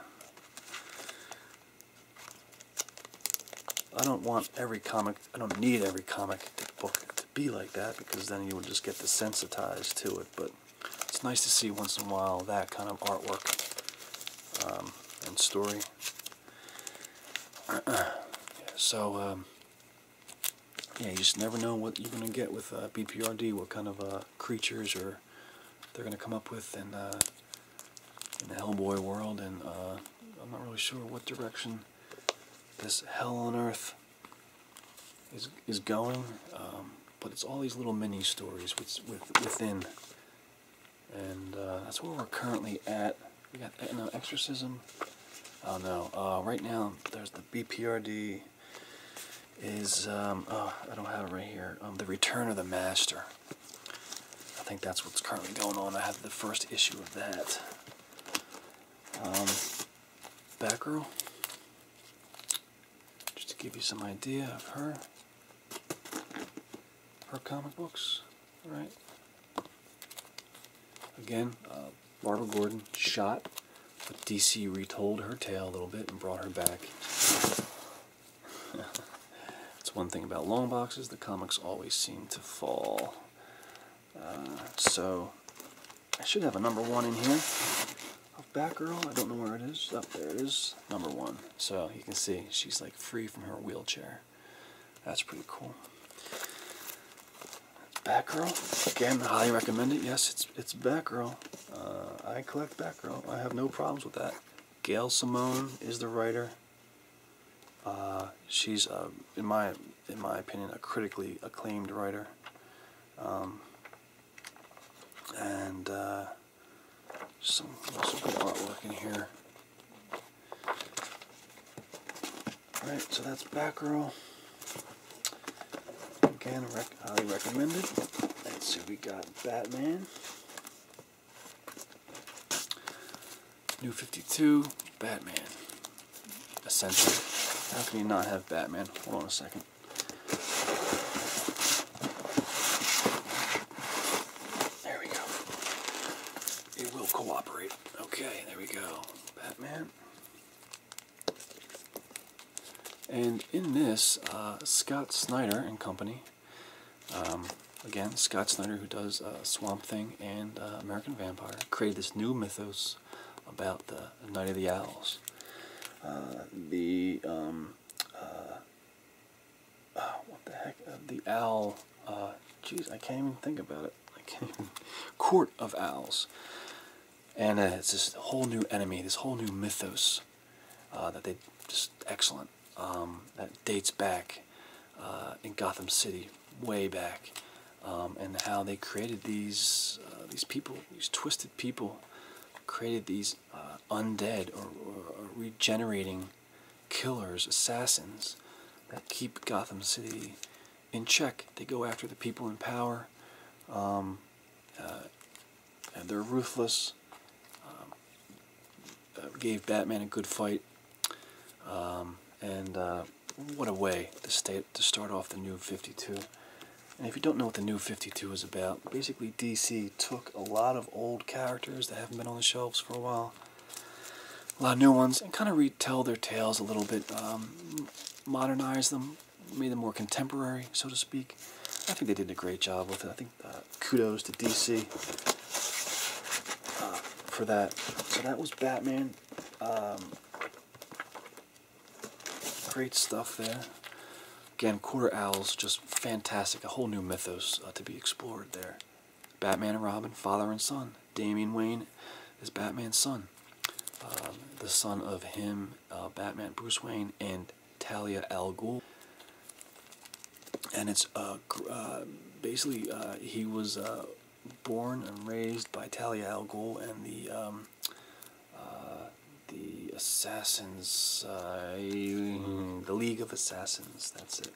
S1: I don't want every comic, I don't need every comic book to be like that because then you would just get desensitized to it, but it's nice to see once in a while that kind of artwork um, and story. so, um, yeah, you just never know what you're going to get with uh, BPRD, what kind of uh, creatures or they're going to come up with uh, in the Hellboy world, and I'm not really sure what direction this Hell on Earth is is going, um, but it's all these little mini stories within, and uh, that's where we're currently at. We got no exorcism. Oh no! Uh, right now, there's the BPRD. Is um, oh, I don't have it right here. Um, the Return of the Master. I think that's what's currently going on. I have the first issue of that. Batgirl. Just to give you some idea of her, her comic books, All right? Again, uh, Barbara Gordon shot, but DC retold her tale a little bit and brought her back. It's one thing about long boxes, the comics always seem to fall. Uh, so I should have a number one in here of Batgirl. I don't know where it is. Up oh, there it is. Number one. So you can see she's like free from her wheelchair. That's pretty cool. Batgirl. Again, highly recommend it. Yes, it's it's Batgirl. Uh, I collect Batgirl. I have no problems with that. Gail Simone is the writer. Uh, she's, uh, in my in my opinion, a critically acclaimed writer. Um, and uh, some, some good artwork in here. Alright, so that's Batgirl. Again, highly recommended. Let's see, we got Batman. New 52, Batman. Ascension. How can we not have Batman? Hold on a second. There we go. It will cooperate. Okay, there we go. Batman. And in this, uh, Scott Snyder and company, um, again, Scott Snyder, who does uh, Swamp Thing and uh, American Vampire, created this new mythos about the Knight of the Owls. the um, uh, uh, what the heck, uh, the owl, uh, Jeez, I can't even think about it, I can't even, Court of Owls, and it's this whole new enemy, this whole new mythos that they, just excellent, um, that dates back in Gotham City, way back, um, and how they created these, these people, these twisted people, created these uh, undead or, regenerating killers, assassins that keep Gotham City in check. They go after the people in power. Um, uh, and they're ruthless. Um, uh, gave Batman a good fight. Um, and what a way to start off the new 52. And if you don't know what the new 52 is about, basically DC took a lot of old characters that haven't been on the shelves for a while, a lot of new ones, and kind of retell their tales a little bit, um, modernize them, made them more contemporary, so to speak. I think they did a great job with it. I think uh, kudos to DC uh, for that. So that was Batman. Um, Great stuff there. Again, quarter owls, just fantastic. A whole new mythos uh, to be explored there. Batman and Robin, father and son. Damian Wayne is Batman's son. Um, the son of him, uh, Batman, Bruce Wayne, and Talia Al Ghul. And it's uh, basically he was born and raised by Talia Al Ghul and the um, uh, the Assassins, uh, the League of Assassins, that's it.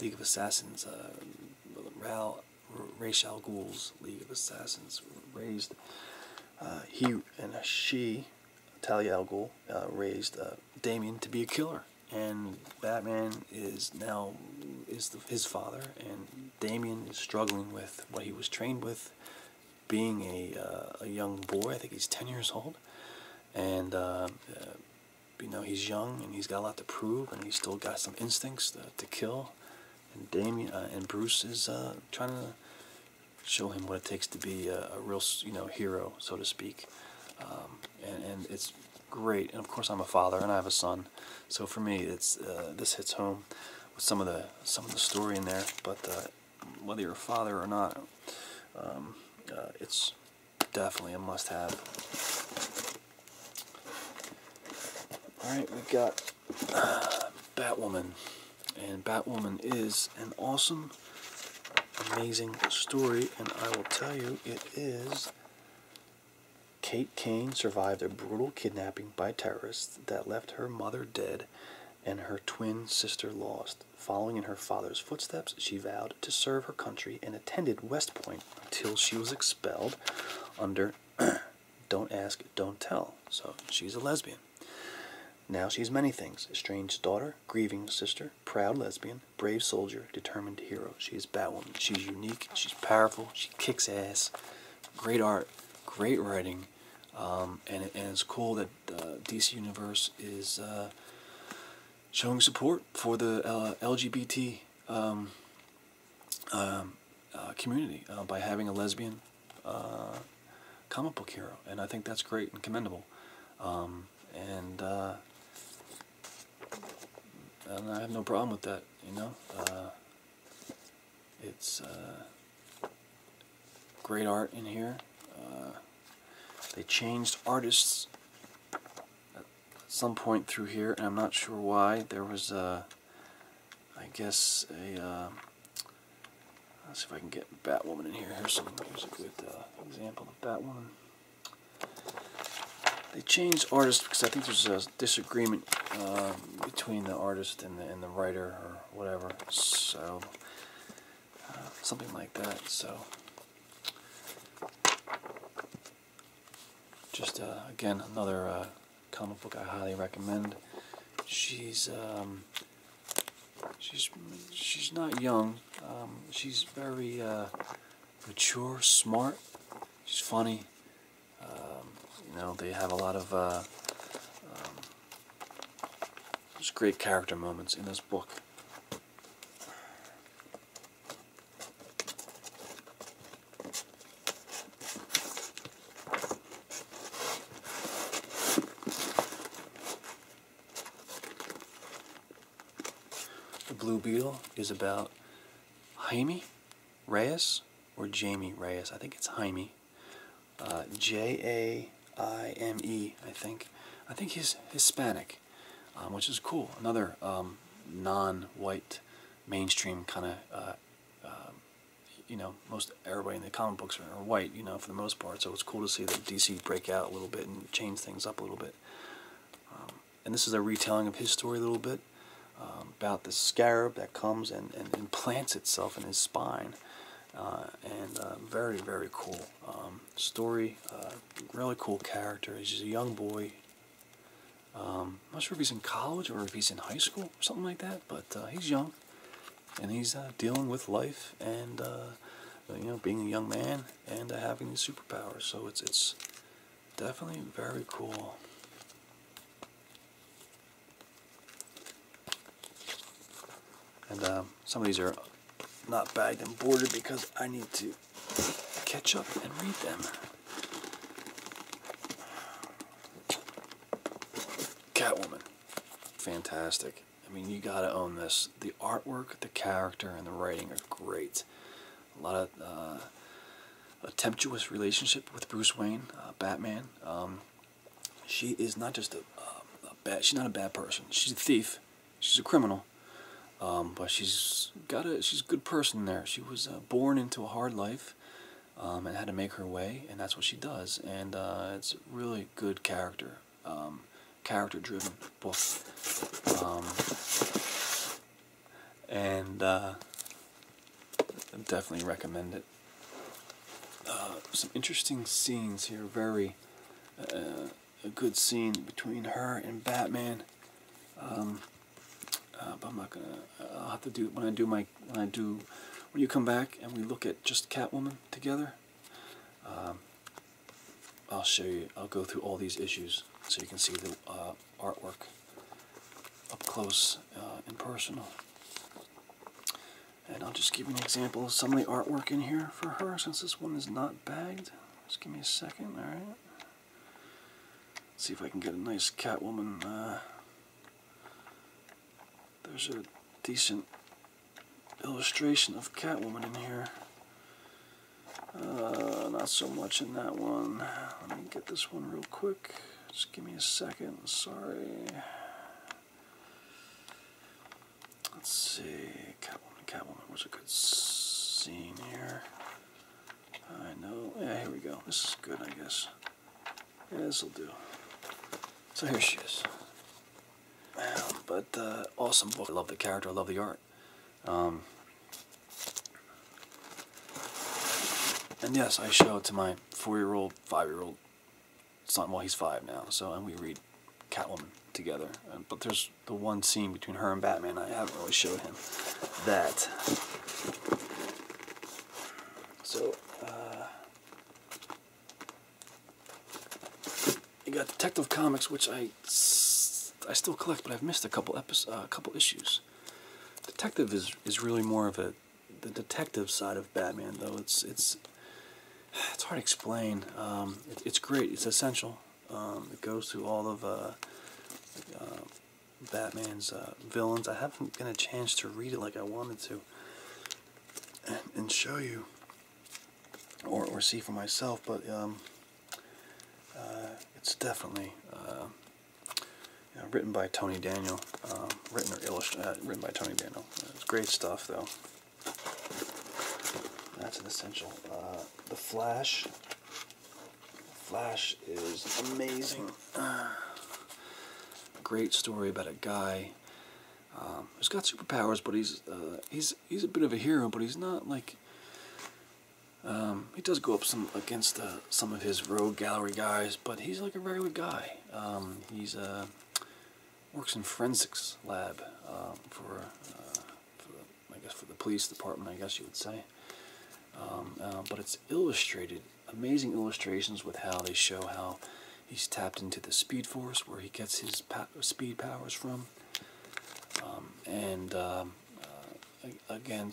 S1: League of Assassins, uh, Ral, League of Assassins raised, uh, he and she, Talia al Ghul, raised uh, Damien to be a killer. And Batman is now is his father, and Damien is struggling with what he was trained with being a, uh, a young boy. I think he's 10 years old. And, uh, you know, he's young and he's got a lot to prove and he's still got some instincts to, kill. And Damien, uh, and Bruce is trying to show him what it takes to be a, real, you know, hero, so to speak. Um, and, and it's great. And of course, I'm a father and I have a son. So for me, it's this hits home with some of the, some of the story in there. But whether you're a father or not, um, uh, it's definitely a must-have. All right, we've got uh, Batwoman, and Batwoman is an awesome, amazing story, and I will tell you, it is. Kate Kane survived a brutal kidnapping by terrorists that left her mother dead and her twin sister lost. Following in her father's footsteps, she vowed to serve her country and attended West Point until she was expelled under Don't Ask, Don't Tell. So she's a lesbian. Now she's many things estranged daughter, grieving sister, proud lesbian, brave soldier, determined hero. She is Batwoman. She's unique, she's powerful, she kicks ass. Great art, great writing. Um, and it's cool that the DC Universe is uh, showing support for the uh, LGBT um, um, uh, community by having a lesbian comic book hero, and I think that's great and commendable. Um, and, I have no problem with that. You know, it's Great art in here. Uh, they changed artists at some point through here, and I'm not sure why. There was a, uh, I guess a. Uh, let's see if I can get Batwoman in here. Here's some here's a good example of Batwoman. They changed artists because I think there's a disagreement between the artist and the, and the writer or whatever. So uh, something like that. So, just uh, again, another uh, comic book I highly recommend. She's um, she's she's not young. Um, she's very mature, smart. She's funny. Um, you know, they have a lot of just great character moments in this book. The Blue Beetle is about Jaime Reyes or Jamie Reyes. I think it's Jaime. Uh, J A. I M E, I think. I think he's Hispanic, um, which is cool. Another um, non-white, mainstream kind of, uh, um, you know, most everybody in the comic books are, white, you know, for the most part. So it's cool to see that DC break out a little bit and change things up a little bit. and this is a retelling of his story a little bit about the scarab that comes and, and implants itself in his spine. Uh, and uh, very, very cool. Um, story. Uh, really cool character. He's a young boy. I'm um, not sure if he's in college or if he's in high school something like that, but uh, he's young and he's uh, dealing with life and you know being a young man and having these superpowers. So it's it's definitely very cool. And um, some of these are not bagged and boarded because I need to catch up and read them. Catwoman. Fantastic. I mean, you gotta own this. The artwork, the character, and the writing are great. A lot of uh, a tempestuous relationship with Bruce Wayne, uh, Batman. Um, she is not just a bad. She's not a bad person. She's a thief she's a criminal. Um, but she's got a she's a good person there. She was uh, born into a hard life um, and had to make her way, and that's what she does. And uh, it's a really good character, um, character driven book. and uh, definitely recommend it. some interesting scenes here, very a good scene between her and Batman. Um, uh, but I'm not gonna. I'll have to do when I do my when I do when you come back and we look at just Catwoman together. Um, I'll show you. I'll go through all these issues so you can see the uh, artwork up close uh, and personal. And I'll just give you an example of some of the artwork in here for her since this one is not bagged. Just give me a second, alright. See if I can get a nice Catwoman. Uh, there's a decent illustration of Catwoman in here. Uh, not so much in that one. Let me get this one real quick. Just give me a second. Sorry. Let's see, Catwoman, Catwoman was a good scene here. I know. Yeah, here we go. This is good, I guess. Yeah, this'll do. So here she is. Um, but uh, awesome book. I love the character. I love the art. Um, and yes, I show it to my four-year-old, five-year-old son. Well, he's five now. So, and we read Catwoman together. But there's the one scene between her and Batman I haven't really showed him. That. So, uh, you got Detective Comics, which I, I still collect, but I've missed a couple episodes, a uh, couple issues. Detective is is really more of a the detective side of Batman, though. It's it's it's hard to explain. Um, it's great. It's essential. Um, it goes through all of uh, uh, Batman's uh, villains. I haven't been a chance to read it like I wanted to and, show you or, or see for myself, but um, it's definitely written by Tony Daniel. Um, written or illustrated, written by Tony Daniel. It's great stuff, though. That's an essential. Uh, the Flash. Flash is amazing. Uh, great story about a guy um, who's got superpowers, but he's uh, he's he's a bit of a hero, but he's not like. Um, he does go up some against some of his rogue gallery guys, but he's like a very good guy. Um, he's uh, works in forensics lab um, for I guess for the police department, I guess you would say. Um, uh, but it's illustrated, amazing illustrations with how they show how he's tapped into the speed force, where he gets his speed powers from. Um, and um, uh, again,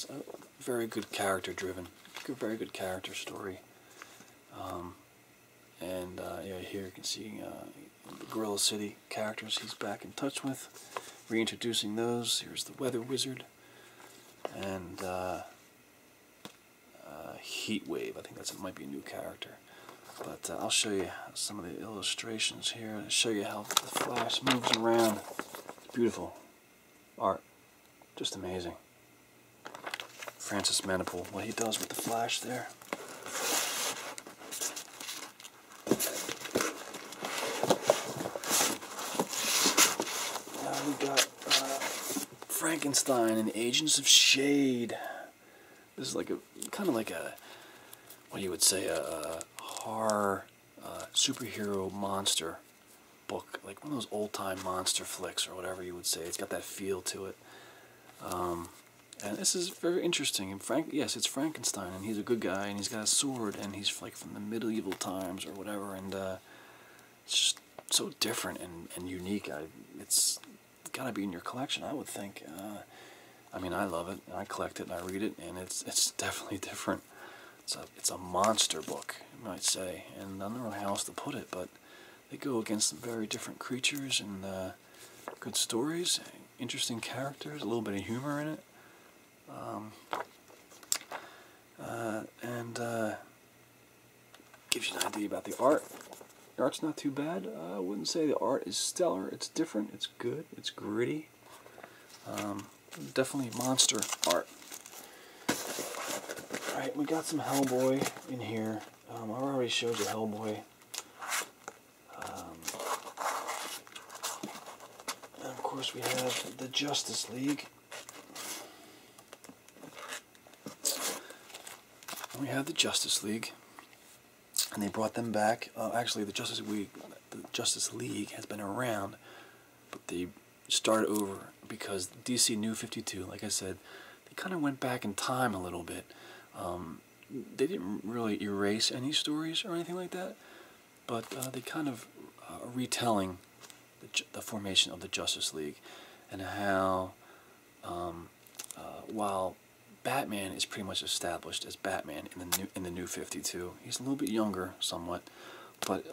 S1: very good character driven, very good character story. and uh, yeah, here you can see Gorilla City characters he's back in touch with, reintroducing those. Here's the Weather Wizard, and uh, uh, Heat Wave. I think that's it might be a new character, but uh, I'll show you some of the illustrations here and show you how the Flash moves around. It's beautiful art, just amazing. Francis Manipal, what he does with the Flash there. Now we got uh, Frankenstein and Agents of Shade. This is like a kind of like a what you would say a, horror uh, superhero monster book, like one of those old time monster flicks or whatever you would say. It's got that feel to it. Um, and this is very interesting. And Frank, yes, it's Frankenstein, and he's a good guy, and he's got a sword, and he's like from the medieval times or whatever, and uh, it's just so different and, and unique. I, it's gotta be in your collection, I would think. Uh, I mean, I love it, and I collect it, and I read it, and it's it's definitely different. It's a it's a monster book, might say, and I don't know how else to put it, but they go against very different creatures and uh, good stories, interesting characters, a little bit of humor in it, um, uh, and uh, gives you an idea about the art. The art's not too bad. Uh, I wouldn't say the art is stellar. It's different. It's good. It's gritty. Um, definitely monster art. Alright, we got some Hellboy in here. Um, i already showed you Hellboy. Um, and of course, we have the Justice League. We have the Justice League, and they brought them back. Uh, actually, the Justice League, the Justice League has been around, but they started over because DC New Fifty Two, like I said, they kind of went back in time a little bit. Um, they didn't really erase any stories or anything like that, but uh, they kind of uh, are retelling the, formation of the Justice League and how um, uh, while Batman is pretty much established as Batman in the new in the new 52, he's a little bit younger somewhat, but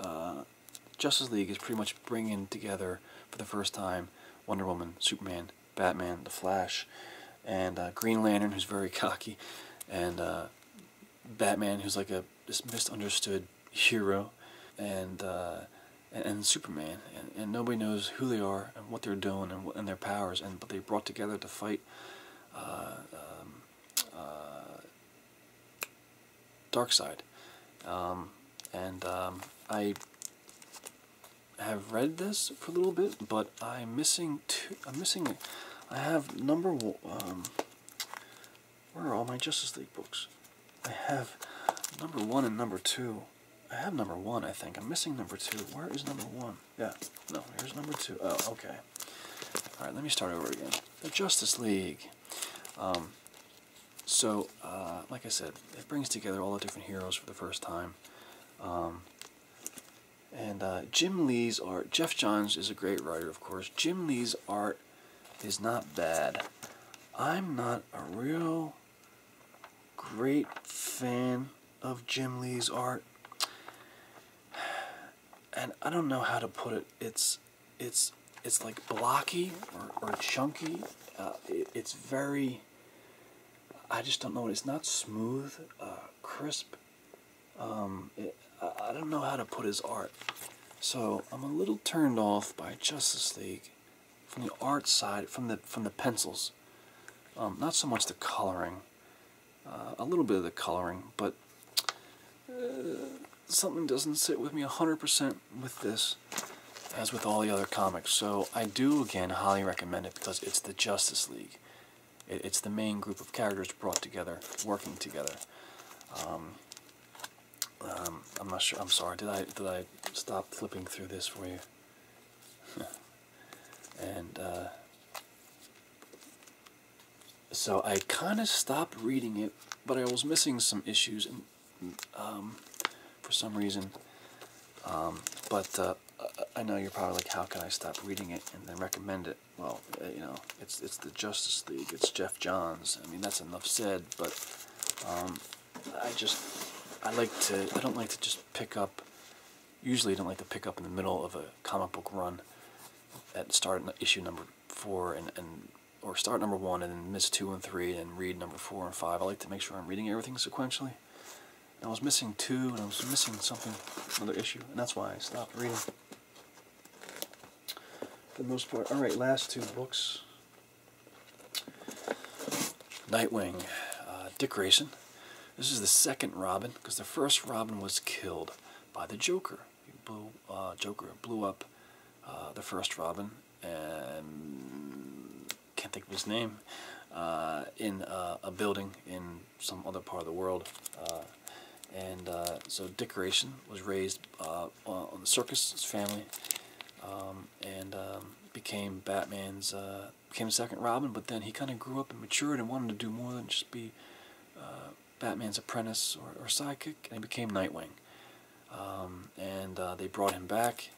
S1: Justice League is pretty much bringing together for the first time Wonder Woman, Superman, Batman, The Flash, and uh, Green Lantern, who's very cocky, and uh, Batman, who's like a misunderstood hero, and uh, and, Superman, and, nobody knows who they are and what they're doing and, their powers, and but they brought together to fight um, Dark Side, um, and um, I have read this for a little bit, but I'm missing i I'm missing. I have number one. Um, where are all my Justice League books? I have number one and number two. I have number one, I think. I'm missing number two. Where is number one? Yeah, no, here's number two. Oh, okay. All right, let me start over again. The Justice League. Um, so, uh, like I said, it brings together all the different heroes for the first time. Um, and uh, Jim Lee's art, Jeff Johns is a great writer, of course. Jim Lee's art is not bad. I'm not a real great fan of Jim Lee's art. And I don't know how to put it. It's it's it's like blocky or, chunky. Uh, it's very, I just don't know. It's not smooth, uh, crisp. Um, I don't know how to put his art. So I'm a little turned off by Justice League from the art side, from the from the pencils. Um, not so much the coloring. Uh, a little bit of the coloring, but uh, something doesn't sit with me 100% with this as with all the other comics. So I do, again, highly recommend it because it's the Justice League it's the main group of characters brought together, working together. Um, um, I'm not sure. I'm sorry. Did I did I stop flipping through this for you? and uh, so I kind of stopped reading it, but I was missing some issues and um, for some reason. but uh, I know you're probably like, how can I stop reading it and then recommend it? well, eh, you know, it's it's the Justice League, it's Jeff Johns. I mean, that's enough said. But um, I just I like to I don't like to just pick up. Usually, I don't like to pick up in the middle of a comic book run at start issue number four and and or start number one and then miss two and three and read number four and five. I like to make sure I'm reading everything sequentially. And I was missing two and I was missing something, another issue, and that's why I stopped reading. For the most part. All right, last two books. Nightwing, uh, Dick Grayson. This is the second Robin, because the first Robin was killed by the Joker. He blew, uh, Joker blew up uh, the first Robin, and can't think of his name, in a building in some other part of the world. Uh, and uh, so decoration was raised uh, on the circus family um, and um, became Batman's, became second Robin, but then he kind of grew up and matured and wanted to do more than just be Batman's apprentice or, or, sidekick, and he became Nightwing. Um, and they brought him back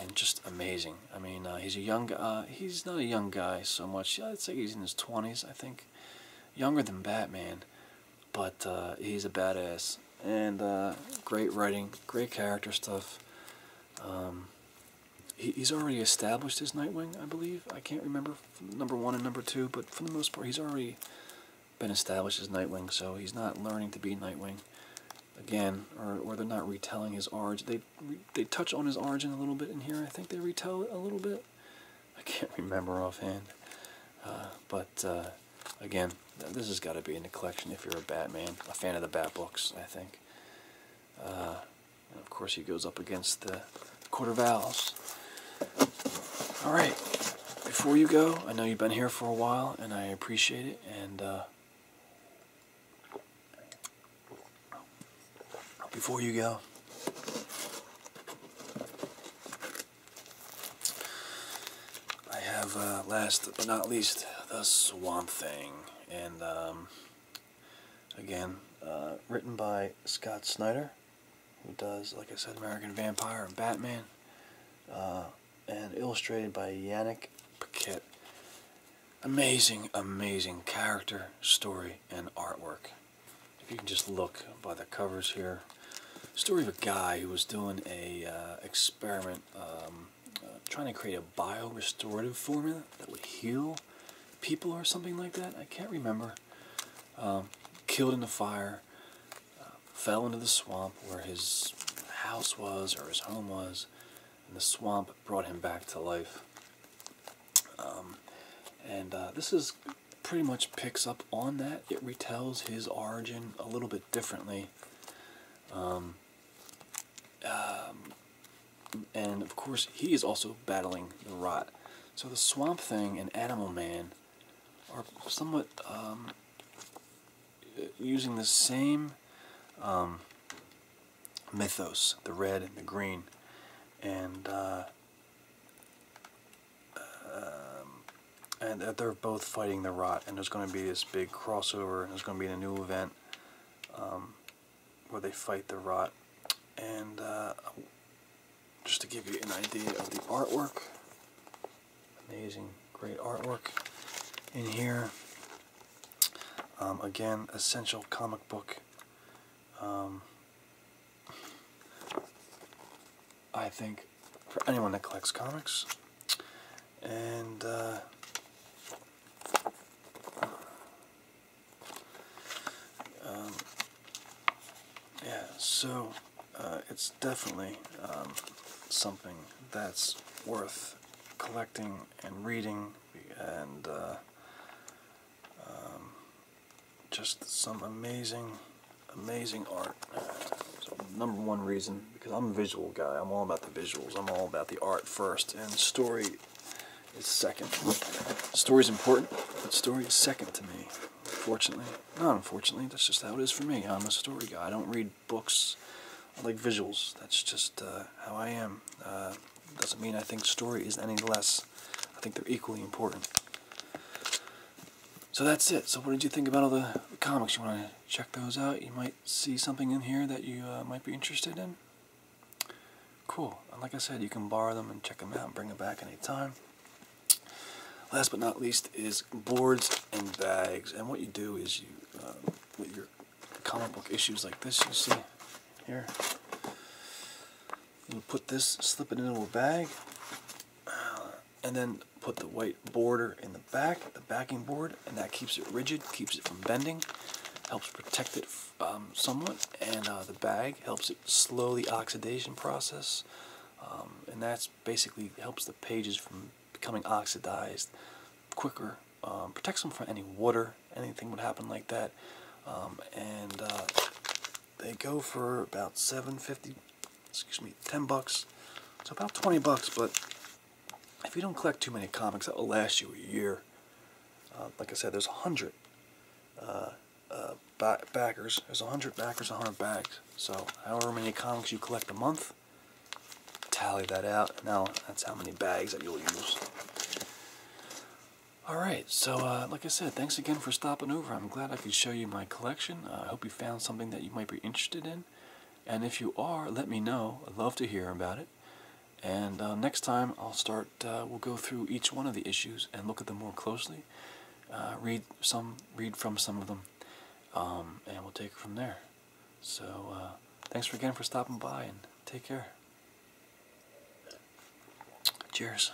S1: and just amazing. I mean, he's a young, he's not a young guy so much. I'd say he's in his 20s, I think younger than Batman, but uh, he's a badass and uh, great writing, great character stuff. Um, he's already established his Nightwing, I believe. I can't remember number one and number two, but for the most part, he's already been established as Nightwing, so he's not learning to be Nightwing again, or, or they're not retelling his origin. They they touch on his origin a little bit in here. I think they retell it a little bit, I can't remember offhand. Uh, but uh, again, this has got to be in the collection if you're a Batman, a fan of the Bat books, I think. Uh, of course, he goes up against the quarter vowels. All right, before you go, I know you've been here for a while, and I appreciate it. And before you go. I have, uh, last but not least, The Swamp Thing. And, um, again, uh, written by Scott Snyder, who does, like I said, American Vampire and Batman. Uh, and illustrated by Yannick Paquette. Amazing, amazing character, story, and artwork if you can just look by the covers here, story of a guy who was doing a uh, experiment um, uh, trying to create a biorestorative formula that would heal people or something like that. I can't remember. Um, killed in the fire, uh, fell into the swamp where his house was or his home was, and the swamp brought him back to life. Um, and this is pretty much picks up on that. It retells his origin a little bit differently. Um, um, and of course, he is also battling the rot. So the Swamp Thing and Animal Man are somewhat um, using the same mythos the red and the green. And uh, um, and they're both fighting the rot, and there's going to be this big crossover, and there's going to be a new event um, where they fight the rot. And uh, just to give you an idea of the artwork, amazing, great artwork in here. Um, again, essential comic book. I think, for anyone that collects comics. And, uh, um, yeah, so uh, it's definitely um, something that's worth collecting and reading and uh, um, just some amazing, amazing art. number one reason, because I'm a visual guy. I'm all about the visuals. I'm all about the art first, and story is second. Story's important, but story is second to me. Fortunately, not unfortunately, that's just how it is for me. I'm a story guy. I don't read books. I like visuals. That's just uh, how I am. Uh, doesn't mean I think story is any less. I think they're equally important. So that's it. So what did you think about all the, comics? You want to check those out? You might see something in here that you uh, might be interested in. Cool. And like I said, you can borrow them and check them out and bring them back anytime. Last but not least is boards and bags. And what you do is you, put um, your comic book issues like this, you see here, you put this, slip it into a bag, and then put the white border in the back, the backing board, and that keeps it rigid, keeps it from bending, helps protect it um, somewhat, and uh, the bag helps it slow the oxidation process, um, and that basically helps the pages from becoming oxidized quicker, um, protects them from any water, anything would happen like that, and uh, they go for about 750 excuse me 10 bucks so about 20 bucks but if you don't collect too many comics that will last you a year uh, like I said there's 100 uh, uh, backers there's 100 backers 100 bags so however many comics you collect a month tally that out now that's how many bags that you'll use all right so uh, like I said, thanks again for stopping over. I'm glad I could show you my collection. Uh, I hope you found something that you might be interested in. And if you are, let me know. I'd love to hear about it. And uh, next time I'll start, we'll go through each one of the issues and look at them more closely. read some, read from some of them. Um, and we'll take it from there. So thanks again for stopping by and take care. Cheers.